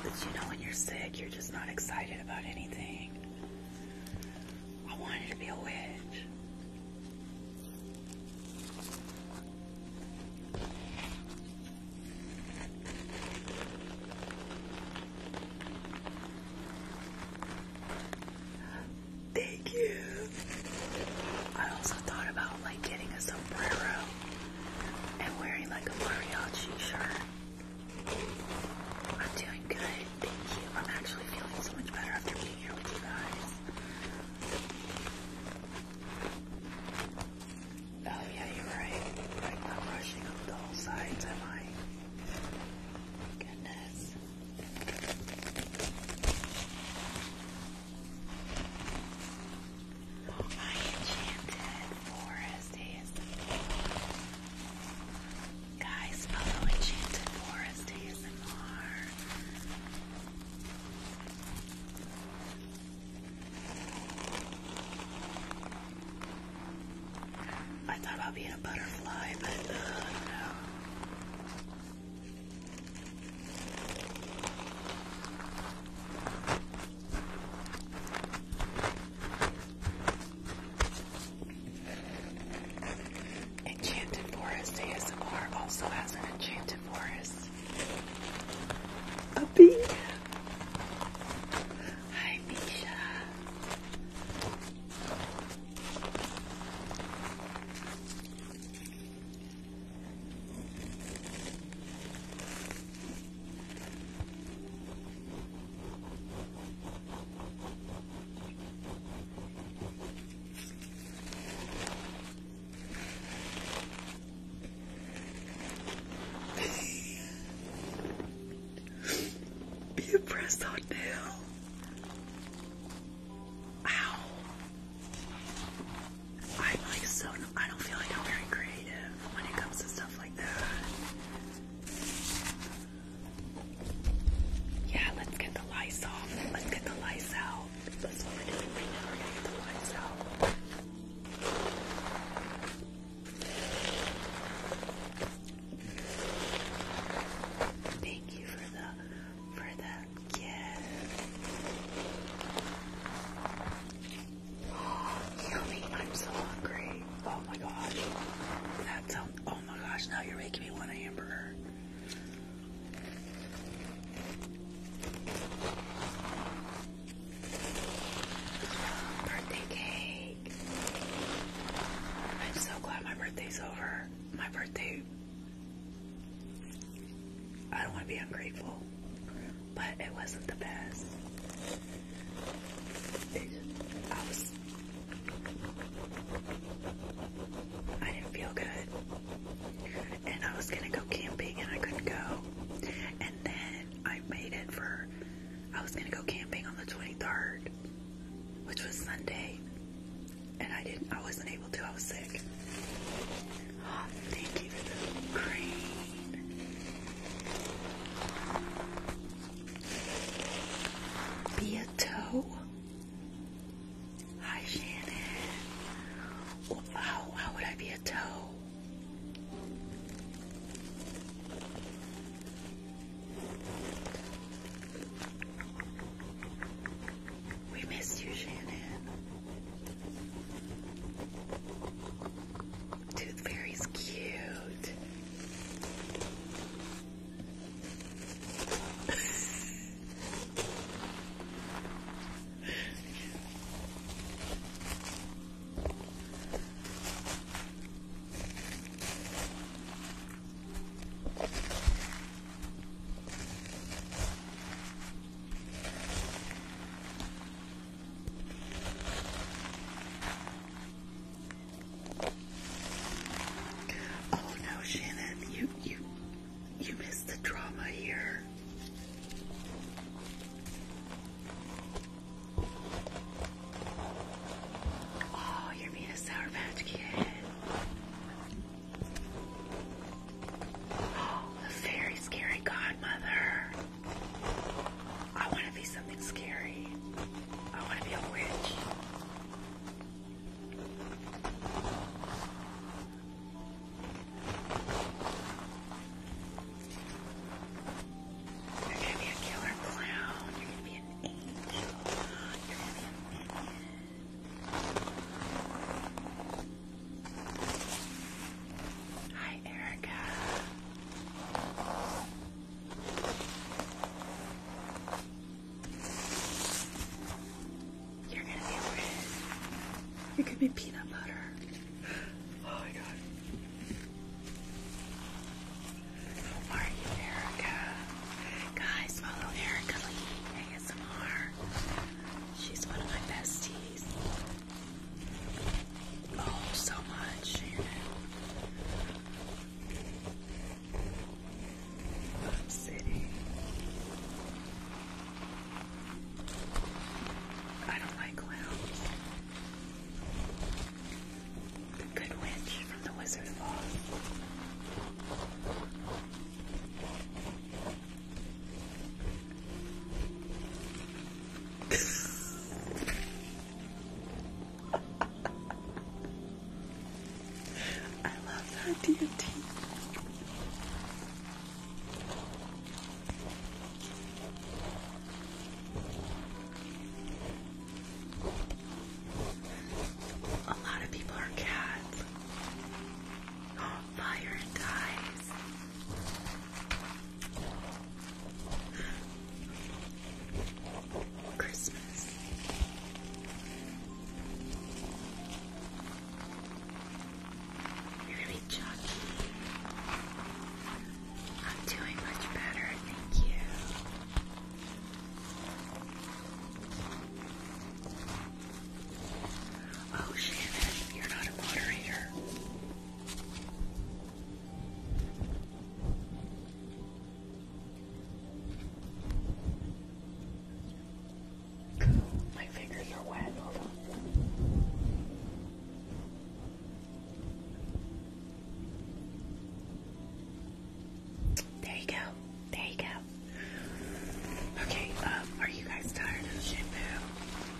But you know, when you're sick, you're just not excited about anything. I wanted to be a witch. Thank you. I also thought about like getting a sombrero and wearing like a mariachi shirt. I'm doing good, thank you. I'm actually feeling so much better after being here with you guys. Oh yeah, you're right. I'm not brushing up the whole sides, am I? Goodness. My enchanted forest ASMR. Guys, follow enchanted forest ASMR. I thought about being a butterfly, but uh, Enchanted Forest ASMR also has an enchanted forest. A Hi, Misha. Be a pressed hot nail. Ow. I'm like so, I don't feel like I'm very creative when it comes to stuff like that. Yeah, let's get the lights off. Let's get the lights out. That's what we're doing right We're gonna get the lights out. Thank you for the for the Oh, yummy. I'm so hungry. Oh my gosh. That's so, oh my gosh, now you're making me want a hamburger. Birthday cake. I'm so glad my birthday's over. My birthday I don't want to be ungrateful, but it wasn't the best. I was. I didn't feel good. And I was going to go camping and I couldn't go. And then I made it for. I was going to go camping on the 23rd, which was Sunday. And I didn't. I wasn't able to. I was sick. Oh, thank you for the green. Be a toe. Hi, Shannon. How, how would I be a toe? We missed you, Shannon. Tooth Fairy's cute. Oh no, Shannon, you you you missed the drama here. Oh, you're being a sour kid. Oh, a very scary godmother. I want to be something scary. I want to be a witch. You're going to be a killer clown. You're going to be a minion. Hi, Erica. You're gonna be weird. You could be peanut butter. Oh my god. How Erica? Guys, follow Erica Lee ASMR. She's one of my besties. Oh, so much, city? I don't like clowns. The Good Witch from The Wizard of I love that deity. A lot of people are cats. Fire dies. Christmas. You're I'm doing much better, thank you. Oh, Shannon, you're not a moderator. My fingers are wet. Hold on. There you go. There you go. Okay, um, are you guys tired shampoo?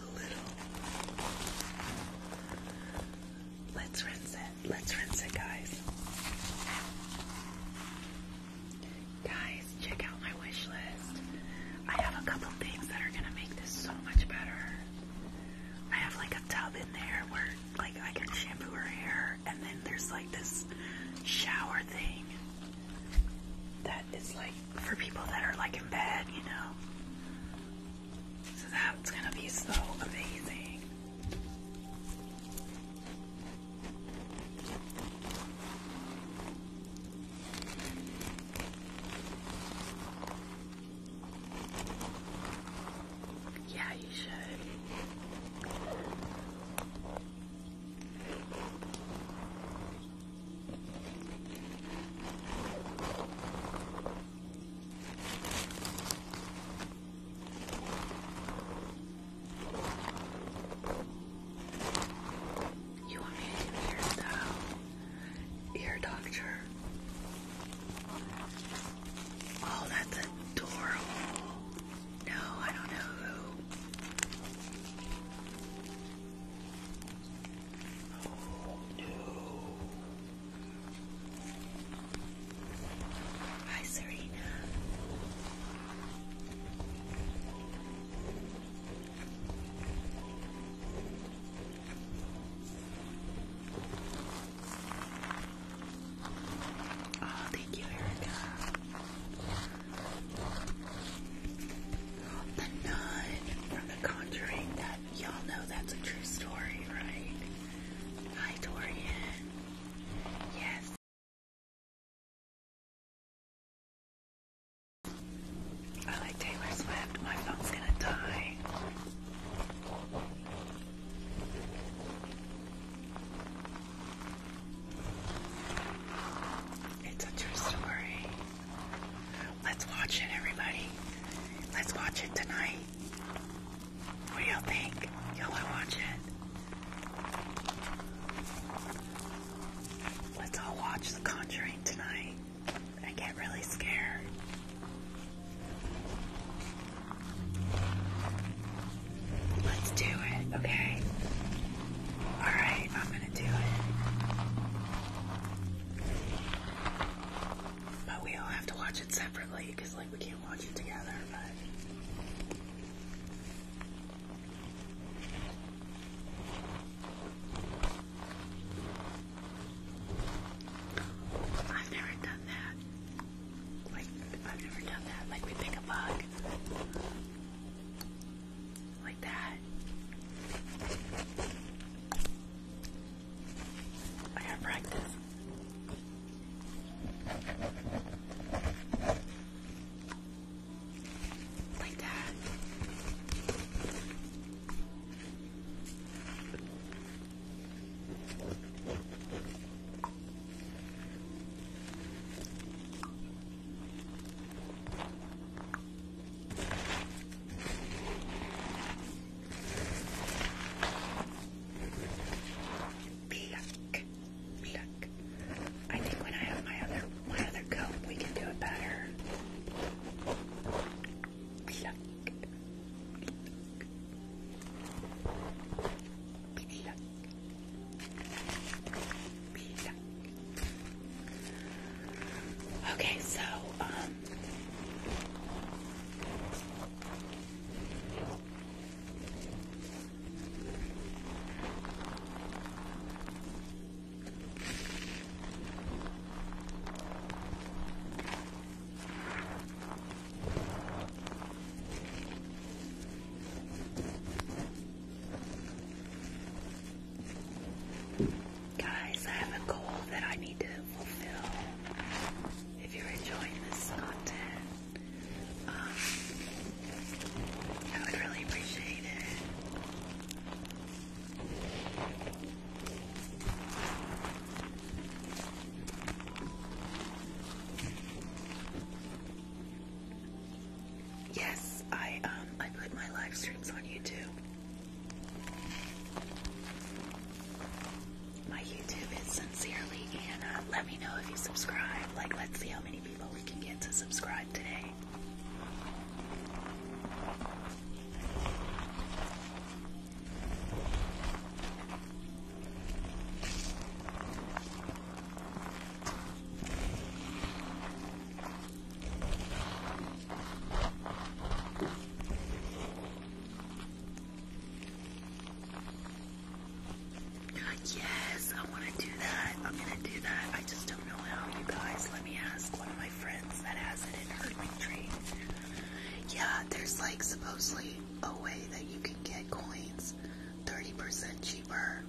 a little. Let's rinse it. Let's rinse it, guys. Guys, check out my wish list. I have a couple things that are gonna make this so much better. I have like a tub in there where like I can shampoo her hair and then there's like this shower thing that is like for people that are like in bed, you know. So that's gonna be so amazing. Yeah, you should. You want me to do hairstyle? Uh, ear doctor. Oh, that's adorable. No, I don't know who. Hi, Serena. Oh, thank you, Erica. The nun from The Conjuring, that y'all know that's a true story, right? Hi, Dorian. Yes. I like Taylor Swift. My phone's gonna die. It's a true story. Let's watch it, everybody. Let's watch it tonight. What do y'all think? Y'all wanna watch it? Let's all watch The Conjuring tonight. I get really scared. Let's do it, okay? Alright, I'm gonna do it. But we all have to watch it separately because, like, we can't watch it together, but. I've never done that. Like, I've never done that. Like, we pick a bug like that. I gotta practice. Like that. Pluck, pluck. I think when I have my other my other comb, we can do it better. Pluck, pluck. Pizza. Okay, so um, Guys, I have a goal that I need to fulfill. If you're enjoying this content, um, I would really appreciate it. Yes, I um I put my live streams on YouTube. My YouTube is sincerely Anna. Let me know if you subscribe. Like, let's see how many people we can get to subscribe today yes, I want to do that. I'm going to do that. I just don't know how, you guys. Let me ask one of my friends that has it in her tree. Yeah, there's like supposedly a way that you can get coins 30% cheaper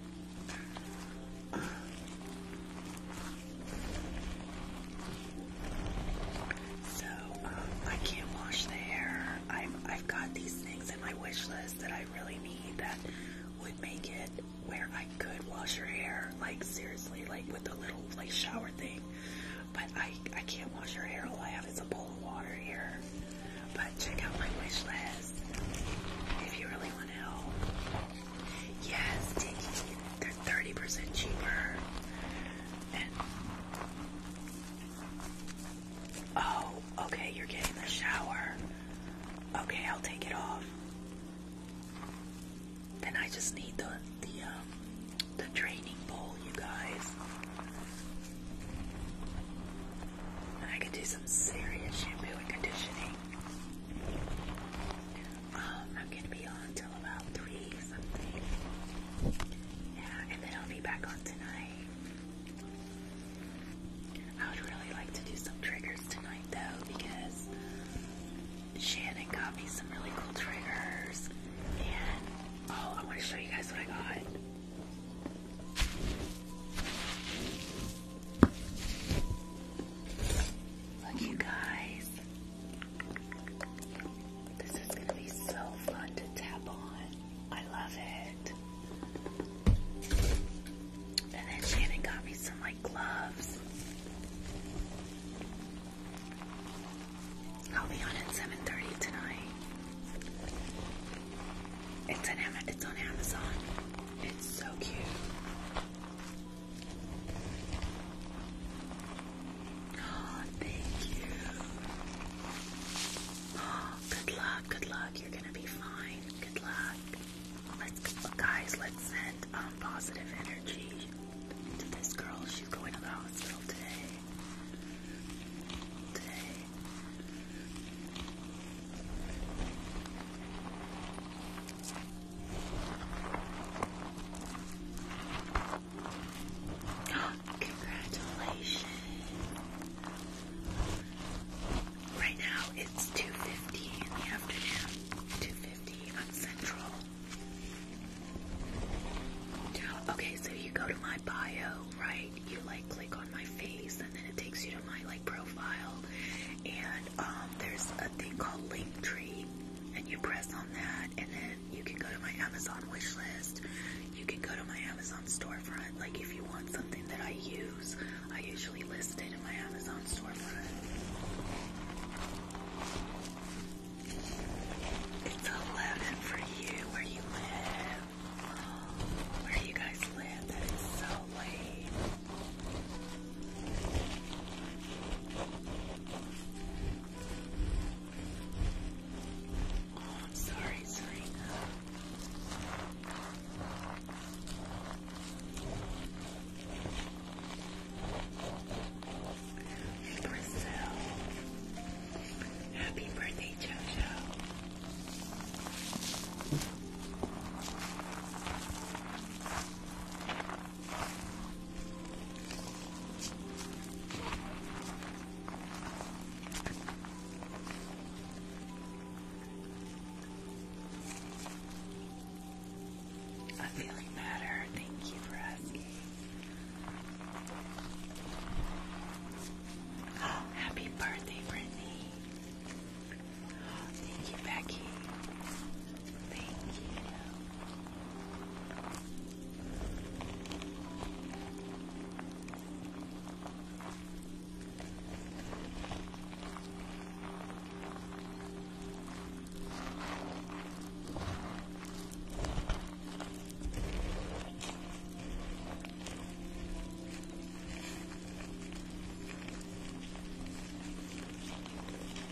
so, um, I can't wash the hair. I've, I've got these things in my wish list that I really need that would make it where I could wash your hair, like seriously, like with a little like shower thing. But I, I can't wash your hair. All I have is a bowl of water here. But check out my wish list if you really want to help. Yes, Tiki. They're 30% cheaper. Oh, okay, you're getting the shower. Okay, I'll take it off. Then I just need the the um the draining bowl, you guys. I could do some serious shampoo conditioning. Um, I'm gonna be on till about three something. Yeah, and then I'll be back on tonight. I would really like to do some triggers tonight though because Shannon got me some really cool triggers. And oh, I want to show you guys what I got. Look, you guys. This is going to be so fun to tap on. I love it. And then Shannon got me some like gloves. I'll be on at 7:30 tonight. It's on, Amazon. It's so cute. Oh, thank you. Oh, good luck, good luck. You're gonna be fine. Good luck. Let's, guys, let's send um, positive energy to this girl. She's going to the hospital today. Today. Congratulations. Right now it's 2.50 in the afternoon. 2.50 on Central. Okay, so you go to my bio, right? You like click on my face and then it takes you to my like profile and um, there's a thing called Linktree, and you press on that, and then you can go to my Amazon wish list. You can go to my Amazon storefront. Like if you want something that I use, I usually list it in my Amazon storefront. It's 11 for you where you live. Where you guys live, Oh, I'm sorry, sorry. Brazil. Happy birthday, Jojo. I'm feeling better. Thank you for asking. happy birthday, Brittany. Thank you, Becky. Thank you.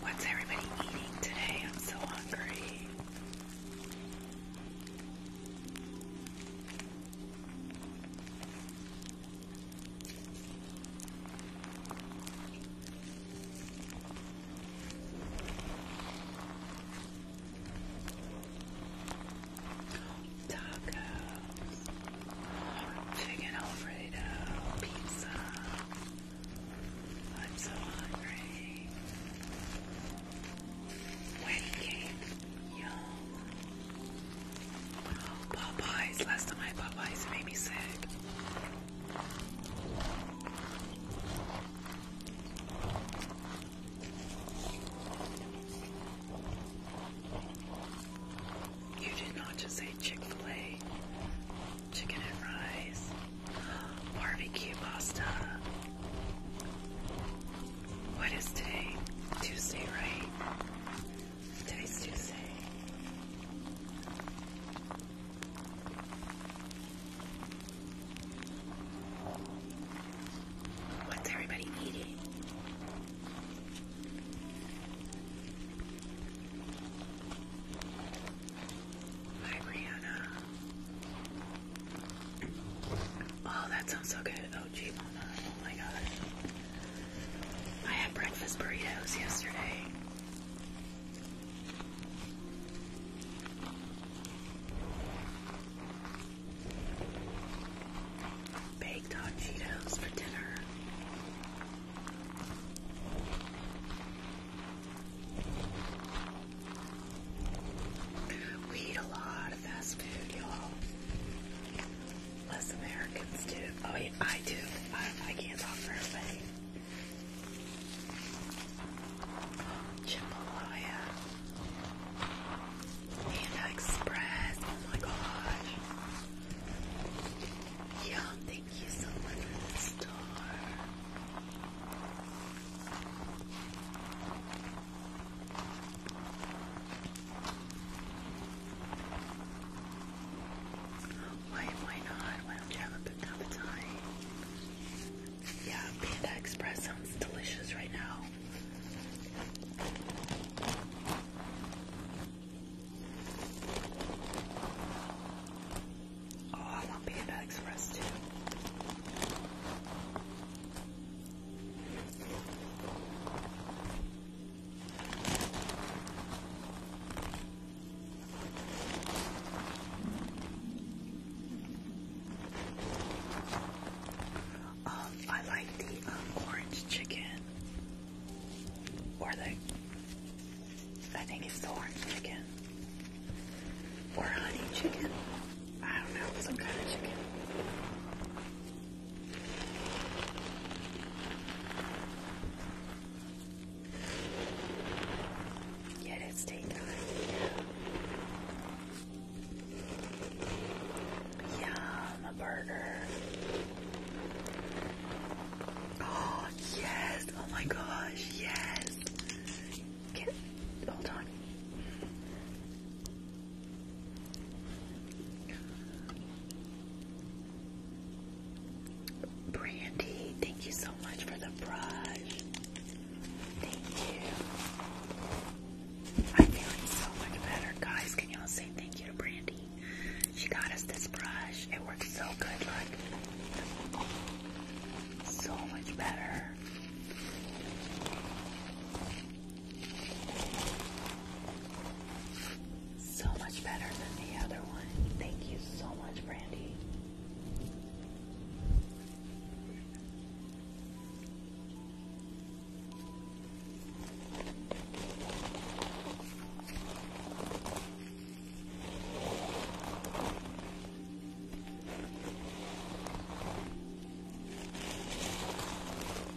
What's everybody eating today? I'm so hungry. Tacos, chicken Alfredo, pizza. I'm so hungry. Wedding cake, yum. Popeyes. Last time I Popeyes, it made me sick. You did not just say Chick-fil-A, chicken and fries, barbecue pasta. What is today? Tuesday, right? Today's Tuesday. What's everybody eating? Hi, Brianna. Oh, that sounds so good. Oh, gee, Oh my god. I had breakfast burritos yesterday. Baked hot Cheetos for dinner. We eat a lot of fast food, y'all. Less Americans do. Oh, yeah, I do. I, can't talk for everybody. Jambalaya. Panda Express. Oh my gosh. Yum. Thank you so much for the star. Why, why not? Why don't you have a bit of Yeah, Panda Express sounds delicious right now. Oh, I want Panda Express too. Um, I like the um, orange chicken, or the I think it's the orange chicken, or honey chicken. I don't know, some kind of chicken. Yeah, it's daytime. Yeah. Yum, burger. Oh, yes. Oh my gosh, yes. hold on. Brandy, thank you so much for the brush. Thank you. I'm feeling so much better, guys. Can y'all say thank you to Brandy? She got us this brush. It works so good. Look, so much better so much better than the other one. Thank you so much, Brandy.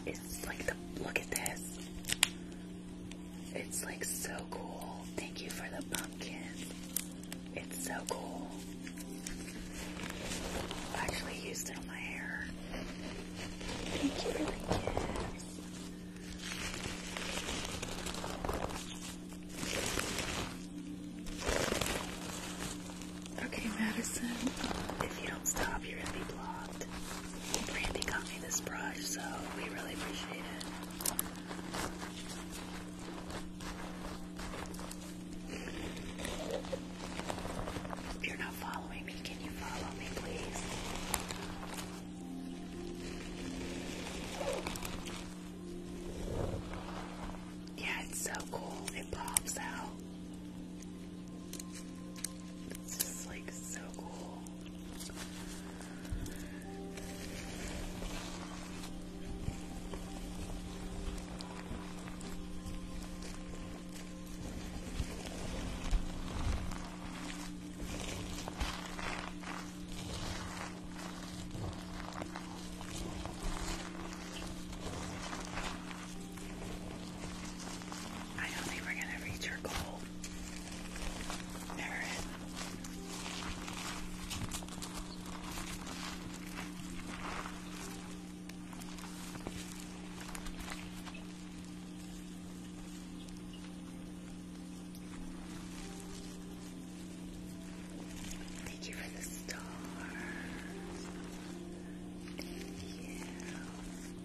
It's like the look at this. It's like so cool. Thank you for the pumpkin. It's so cool. I actually used it on my hair. Thank you for Okay, Madison, if you don't stop, you're gonna be blocked. Brandy got me this brush, so we really appreciate it. If you're not following me, can you follow me, please? Yeah, it's so cool. It pops out. This is like so cool. I don't think we're gonna reach our goal. Thank you for the stars. Thank you.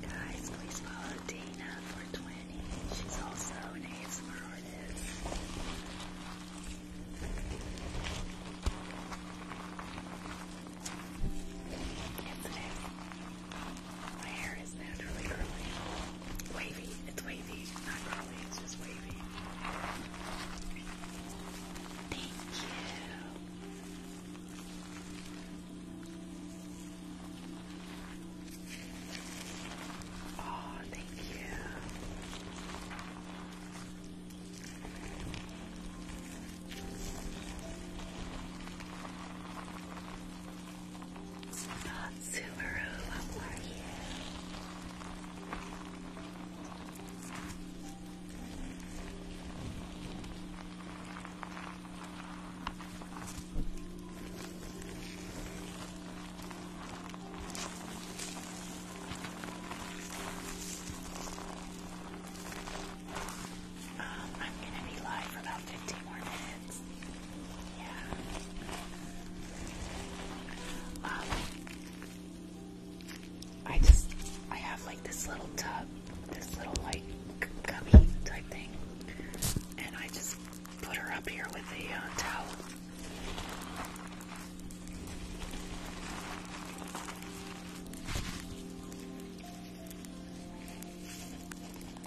Guys, please follow Dina for 20. She's also an ASMR artist. My hair is naturally curly. Wavy. It's wavy. not curly. It's just wavy. Thank you. Oh, thank you. Um, I'm gonna be live for about 15 more minutes. Yeah. Um, I just, I have like this little tub, this little like gummy type thing, and I just put her up here with a uh, towel.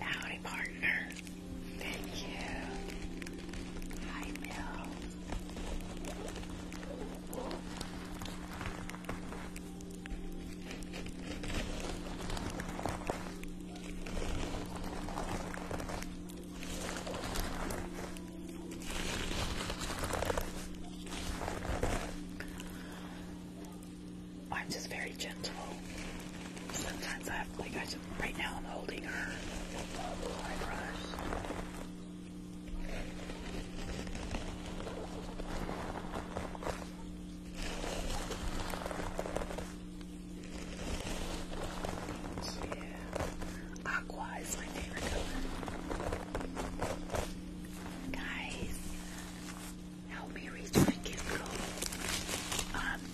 Howdy, partner. Thank you. Hi, Bill. I'm just very gentle. Sometimes I have, like, right now I'm holding her brush. Yeah. Guys, help me reach my gift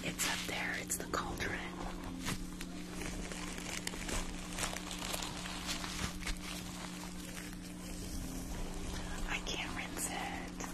it's up there. It's the cauldron. I can't rinse it.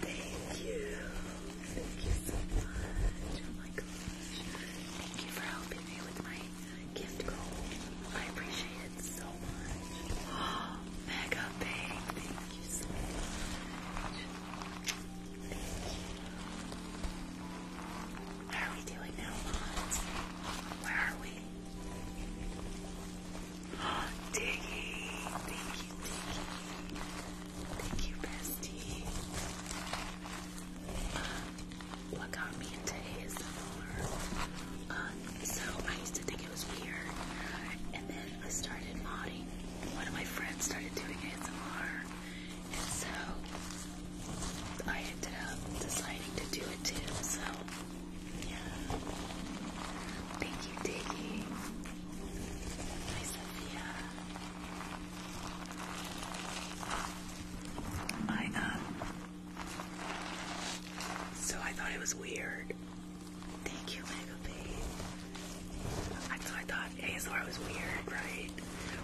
Thank you. Thank you so much. Oh my gosh. Thank you for helping me with my gift goal. I appreciate it so much. mega big. Thank you so much. Thank are we doing now, Mons? Where are we? Diggy. Thank you, Diggy. Thank you, bestie. what got me into ASMR? So I used to think it was weird, and then I started modding. One of my friends started doing it, and so I ended up deciding to do it too. So yeah, thank you, Diggy. Hi, Sophia. I um so I thought it was weird. Thank you, Lego Babe. I thought, I thought ASR was weird, right?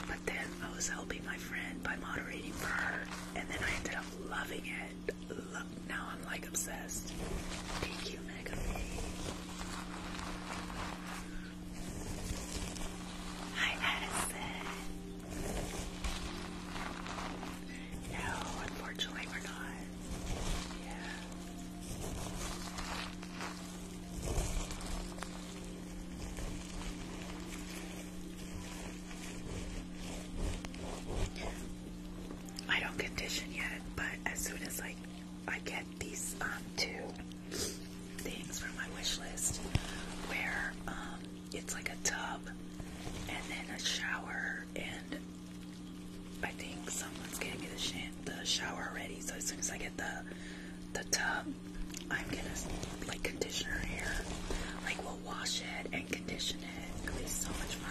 But then I was helping my friend by moderating for her, and then I ended up loving it. Lo now I'm like obsessed. Thank you, Mega Hi, Addison. No, unfortunately, we're not. Yeah. I don't condition yet, but as soon as I I get these um, two things from my wish list where um, it's like a tub and then a shower and I think someone's getting me the, shower ready so as soon as I get the the tub I'm gonna like conditioner her hair like we'll wash it and condition it it'll so much fun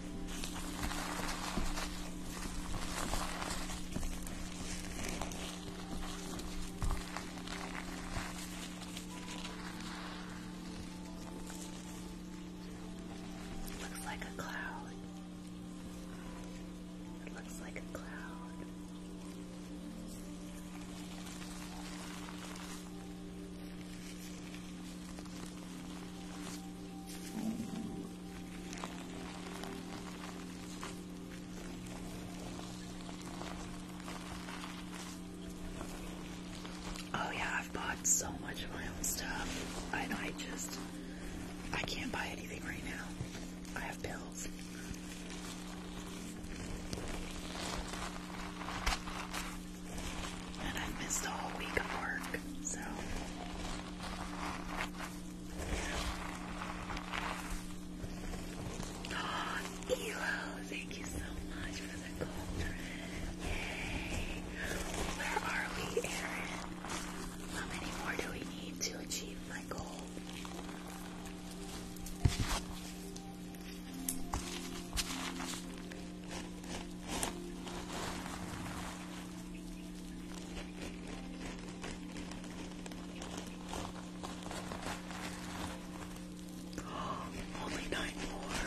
It looks like a cloud. It looks like a cloud. Oh yeah, I've bought so much of my own stuff. I I just I can't buy anything right now. I have bills. And i missed a whole week of work, so Elo, thank you so much for the cauldron. Yay. Where are we, Aaron? How many more do we need to achieve my goal? Only nine more.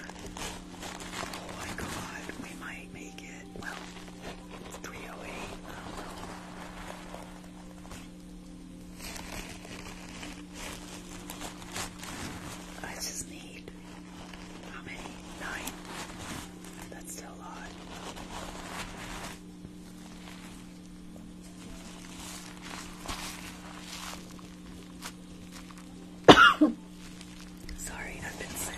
Oh my god, we might make it. Well, 308. I just need how many? Nine. That's still a lot. Sorry, I've been sick.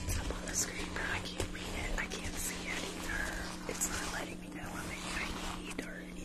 It's up on the screen, but I can't read it. I can't see it either. It's not letting me know how I need or anything.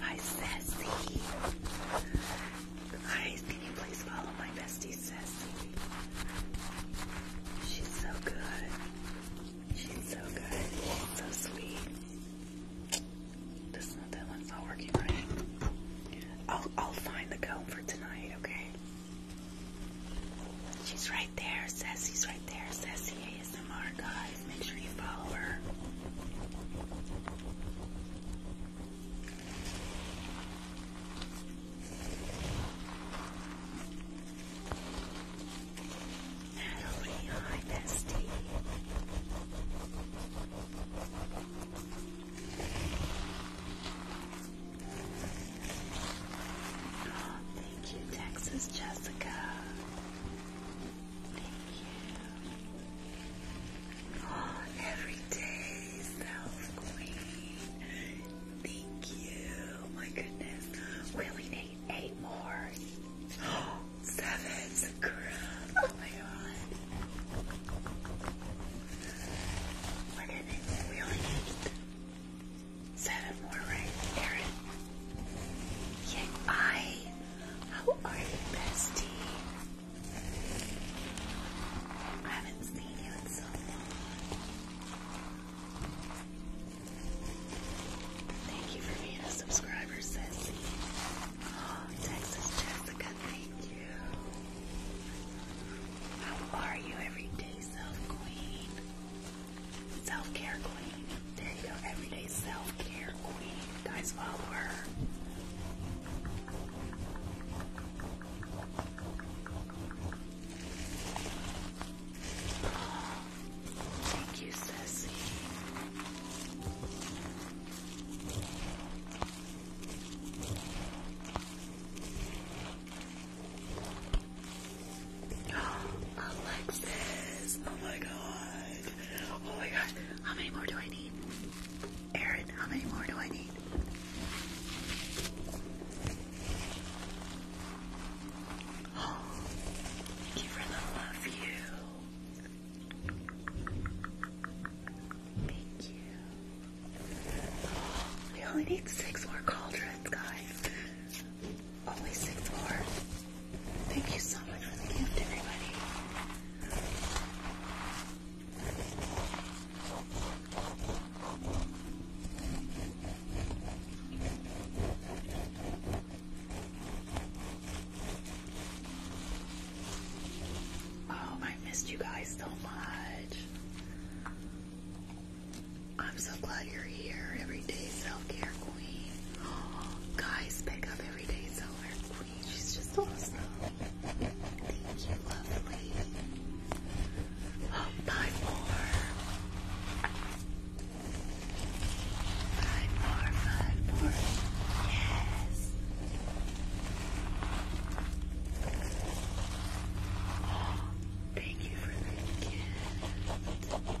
Hi, Sassy. Guys, can you please follow my bestie, Sassy? She's so good. She's so good. so sweet. This one, that one's not working right. I'll, I'll find the comb for tonight, okay? She's right there, Sassy's right there, Sassy ASMR guys. Make sure you follow her. Natalie, hi bestie. Oh, thank you, Texas Jessica. Thank you. Oh, every day, self queen. Thank you. My goodness. We need eight more. Oh, seven, Oh my god. We're we need Seven more, right? Aaron. Yeah, I. How are you, bestie? I haven't seen you in so long. Thank you for being a subscriber, Sassy. Oh, Texas Jessica, thank you. How are you everyday self queen? Self-care queen. There you go. Everyday self-care queen. Guys, follow her. thank you, Ceci. Alexis! Oh my god! Oh my gosh! How many more do I need? Aaron, how many more do I need? thank you for the love you. Thank you. we only need six more cauldrons, guys only sixth floor. Thank you so much for the gift, everybody. Oh, I missed you guys so much. I'm so glad you're here, everyday self-care queen. guys, pick up everyday self-care queen. She's just awesome. Thank you, lovely. Oh, buy Five more, five more. Yes. thank you for the gift.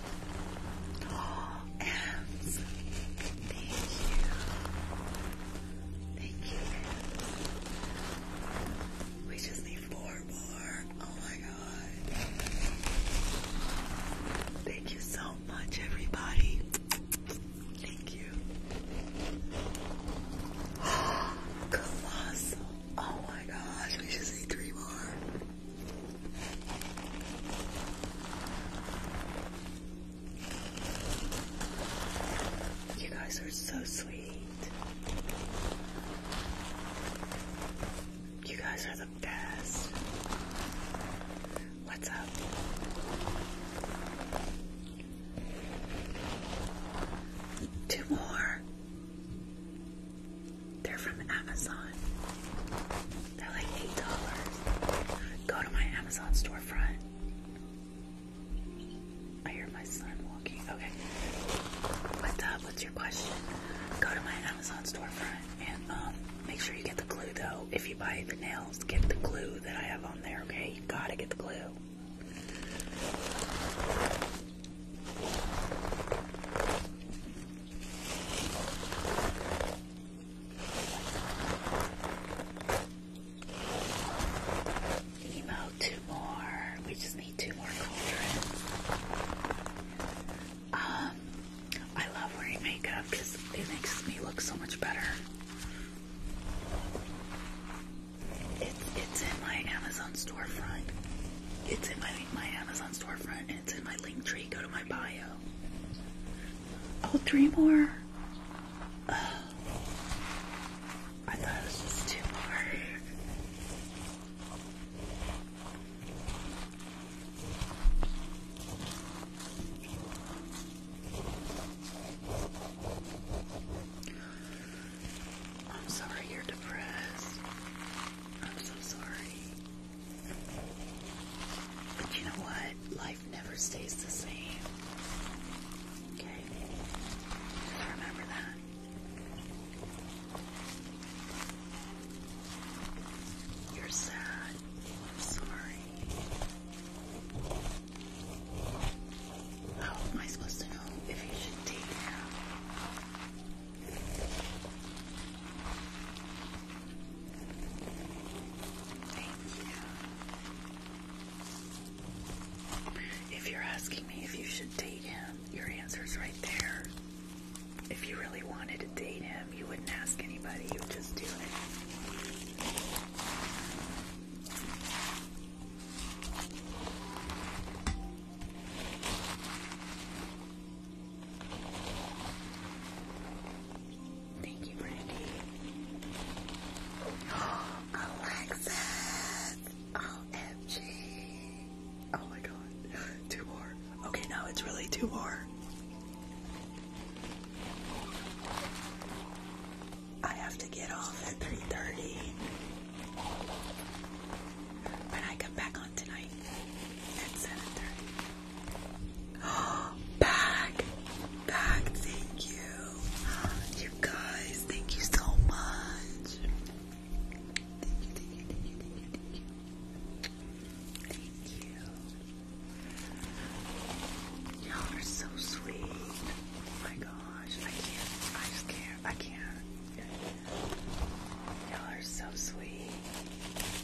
And thank you. Thank you. We just need four more. Oh my god. Thank you so much, everybody. Thank you. Colossal. Oh my gosh, we should say three more. You guys are so sweet. You guys are the best. What's up? Two more. They're from Amazon. They're like $8. Go to my Amazon storefront. I hear my son walking. Okay. What's up? What's your question? Go to my Amazon storefront and um make sure you get the glue though. If you buy the nails, get the glue that I have on there, okay? You gotta get the glue. Emo, two more. We just need two more cauldrons. Um, I love wearing makeup because it makes me look so much better. It's it's in my Amazon storefront. It's in my my Amazon storefront and it's in my link tree. Go to my bio. Oh, three more. Oh. I thought it was just two more. I'm sorry you're depressed. I'm so sorry. But you know what? Life never stays the same. Okay? remember that. You're sad. I'm sorry. How am I supposed to know if you should date him? Thank you. If you're asking me if you should date him, your answer's right there. If you really wanted to date him, you wouldn't ask anybody, you would just do it. Thank you, Brandy. Alexis! OMG! Oh my god. Two more. Okay, now it's really two more. I have to get off at 3.30 when I come back on tonight at 7.30. back! Back, thank you. You guys, thank you so much. Thank you, thank you, thank you, thank you, thank you. Thank you. Y'all are so sweet. Oh my gosh, I can't. I just can't. I can't. Y'all are so sweet.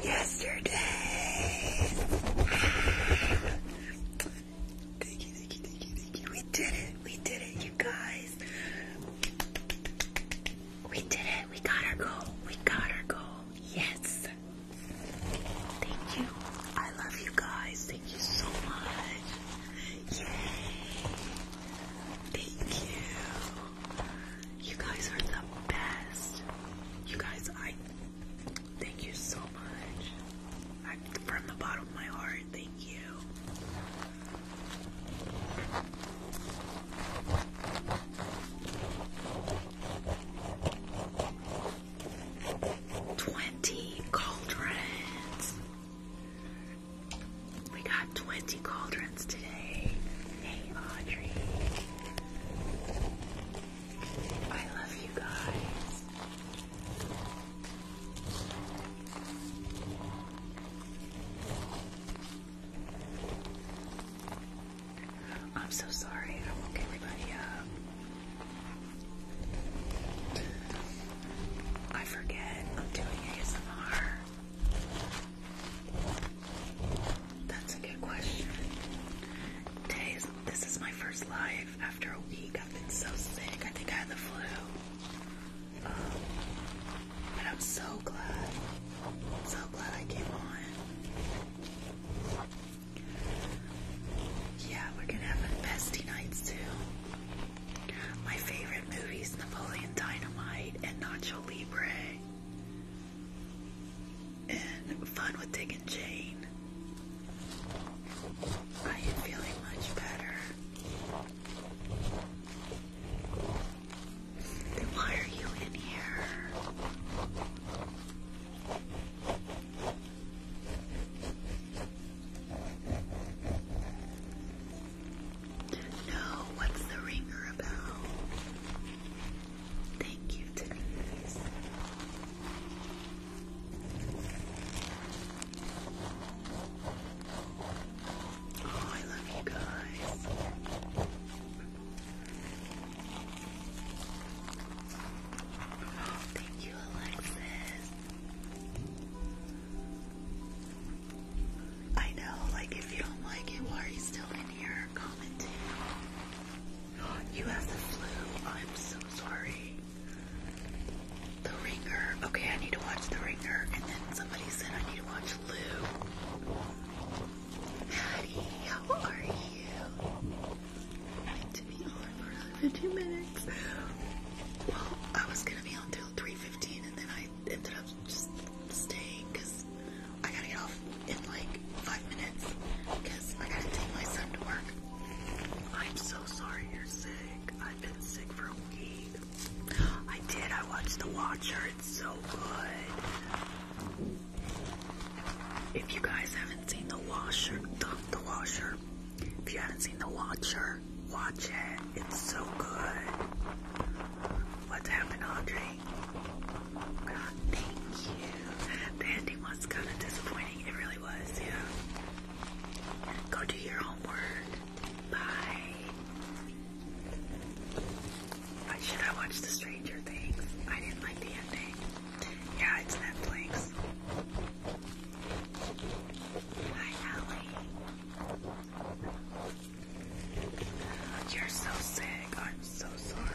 Yesterday. Thank you, thank you, thank you, thank you. We did it. We did it, you guys. We did it. We got our goal. We got our goal. Yes. Thank you. I love you guys. Thank you so much. Yay. Thank you. You guys are the best. You guys, I Thank you so much. from the bottom of my heart, thank you. Twenty cauldrons. We got twenty cauldrons today. Hey, Audrey. I love you guys. I'm so sorry, I woke everybody up. I forget I'm doing ASMR. That's a good question. this is my first live after a week. I've been so sick. I think I had the flu. Um, but I'm so glad. So glad I came on. Yeah, we're gonna have a bestie night soon. My favorite movies Napoleon Dynamite and Nacho Libre. And Fun with Dick Jane. I am feeling much better. Then why are you in here? No, what's the ringer about? Thank you, Denise. Oh, I love you guys. Oh, thank you, Alexis. I know, like, if you don't like it, why are you still in here commenting? You have the flu. I'm so sorry. The Ringer. Okay, I need to watch The Ringer. And then somebody said I need to watch Lou. Maddie, how are you? to be on for another 15 minutes. I was gonna be on till 3:15, and then I ended up just staying because I gotta get off in like five minutes because I gotta take my son to work. I'm so sorry you're sick. I've been sick for a week. I did. I watched The Watcher. It's so good. If you guys haven't seen The Watcher, the, the Watcher. If you haven't seen The Watcher, watch it. It's so good. What's happened, Audrey? God, thank you. The ending was kind of disappointing. It really Go do your homework. Bye. should I watch The Stranger Things? I didn't like the ending. Yeah, it's Netflix. Hi, Allie. You're so sick. I'm so sorry.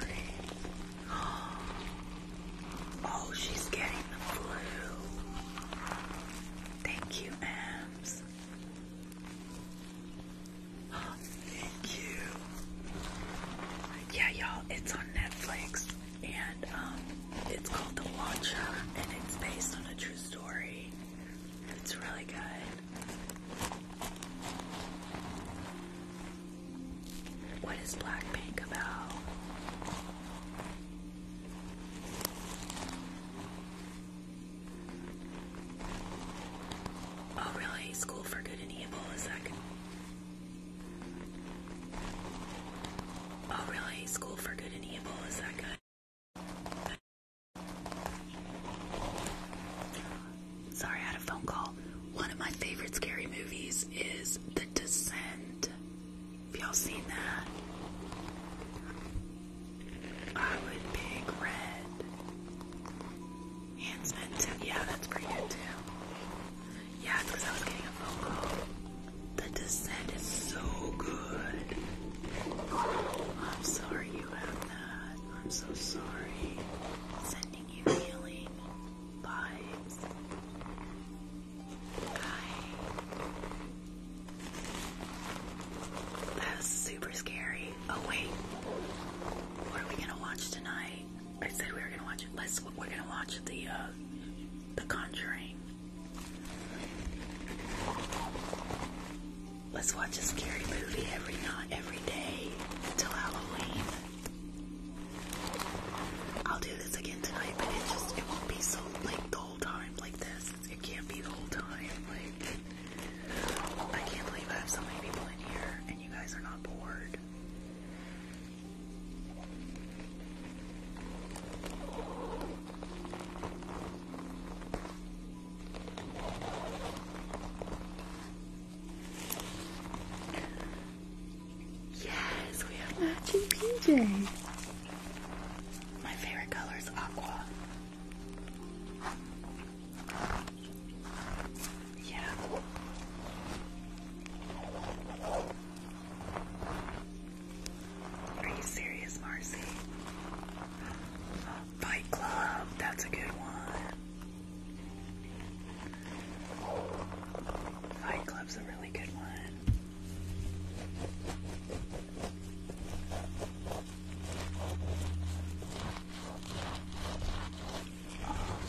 Oh, she's getting the flu. Thank you, Ams. Oh, thank you. Yeah, y'all, it's on Netflix and um it's called The Watcher and it's based on a true story. It's really good. What is Blackpink about? Oh, really? School for Good and Evil? Is that good? Oh, really? School for Good and Evil? Is that good? Sorry, I had a phone call. One of my favorite scary movies is The Descent. Have y'all seen that? I would pick red. Hands Yeah, that's pretty good too. Yeah, because I was getting a phone call. The descent is so good. I'm sorry you have that. I'm so sorry. Sending you healing vibes. That was super scary. Oh wait, what are we gonna watch tonight? I said we were gonna watch. Let's. We're gonna watch the uh, the Conjuring. Let's watch a scary movie every night, every day till Halloween. I'll do this again tonight, but it just it won't be so like the whole time like this. It can't be the whole time. Like I can't believe I have so many people in here and you guys are not bored. Yes, we have matching PJs. My favorite color is aqua. Yeah. Are you serious, Marcy? Fight Club, that's a good one. Fight Club's a really good one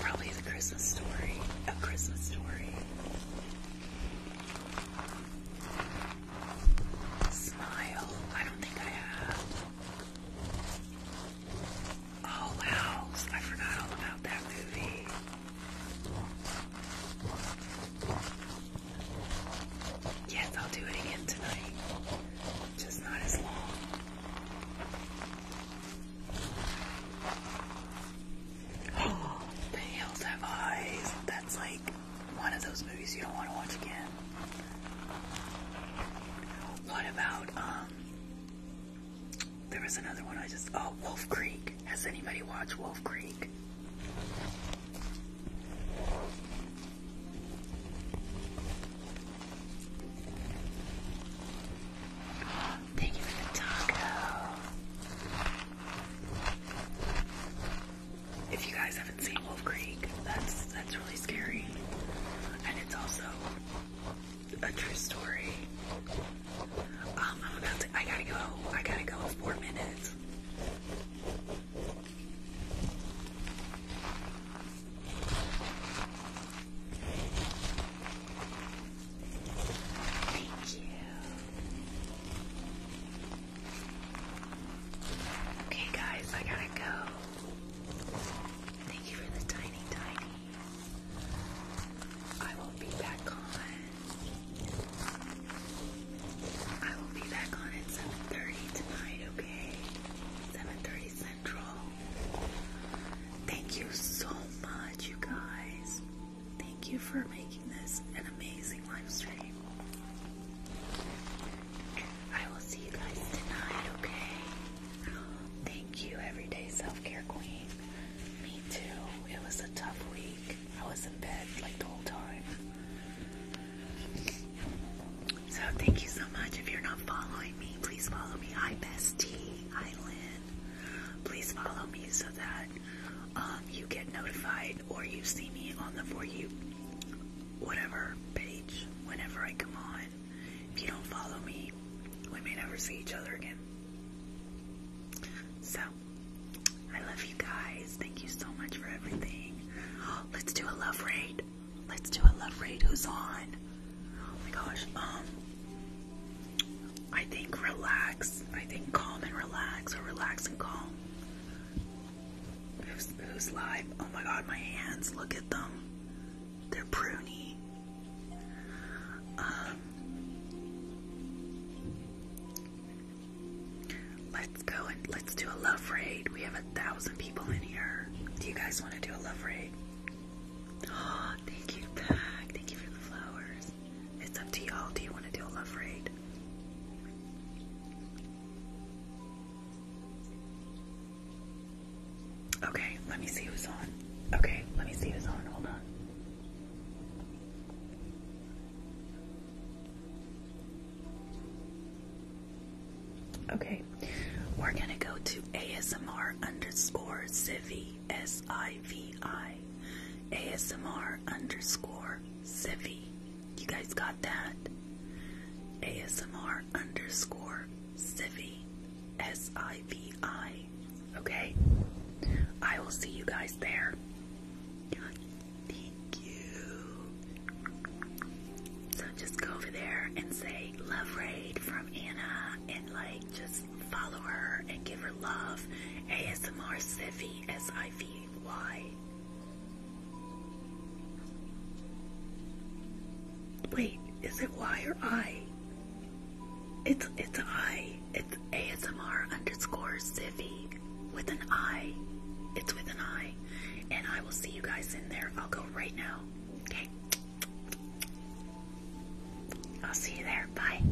probably the Christmas story. A Christmas story. Smile. I don't think I have. Oh, House. I forgot all about that movie. Yes, I'll do it again tonight. Just not as long. the hills have eyes. That's like one of those movies you don't want to watch again. What about um there was another one I just. Oh, Wolf Creek. Has anybody watched Wolf Creek? Thank you for the taco. If you guys haven't seen Wolf Creek, that's that's really scary, and it's also a true story. Um, I'm about to, I gotta go. I gotta go in four minutes. Thank you. Okay, guys, I gotta go. Thank you for the tiny, tiny. I will be back on I will be back on at 7.30 tonight, okay? 7.30 Central. Thank you so much, you guys. Thank you for making this an amazing live stream. I will see you guys tonight, okay? Thank you, Everyday Self Care Queen. Me too. It was a tough week. I was in bed like the whole time. So thank you so much. If you're not following me, please follow me. Hi Bestie, hi Lynn. Please follow me so that um, you get notified or you see me on the For You whatever page whenever I come on. If you don't follow me, we may never see each other again. So I love you guys. Thank you so much for everything. Let's do a love raid. Let's do a love raid. Who's on? Oh my gosh. Um, I think relax. I think calm and relax, or relax and calm. Who's, live? Oh my god, my hands. Look at them. They're pruny. Um, Let's go and let's do a love raid. We have a thousand people in here. Do you guys want to do a love raid? Oh, thank you, Pack. Thank you for the flowers. It's up to y'all. Do you want to do a love raid? Okay, let me see who's on. Okay, let me see who's on. Hold on. Okay, we're gonna go to ASMR underscore Civi, S I V I. ASMR underscore Civi. You guys got that? ASMR underscore Civi, S I V I. Okay? I will see you guys there. Thank you. So just go over there and say love raid from Anna and like just follow her and give her love. ASMR Sivy Wait, is it Y or I? It's it's I. ASMR underscore Ziffy with an I. It's with an I. And I will see you guys in there. I'll go right now. Okay. I'll see you there. Bye.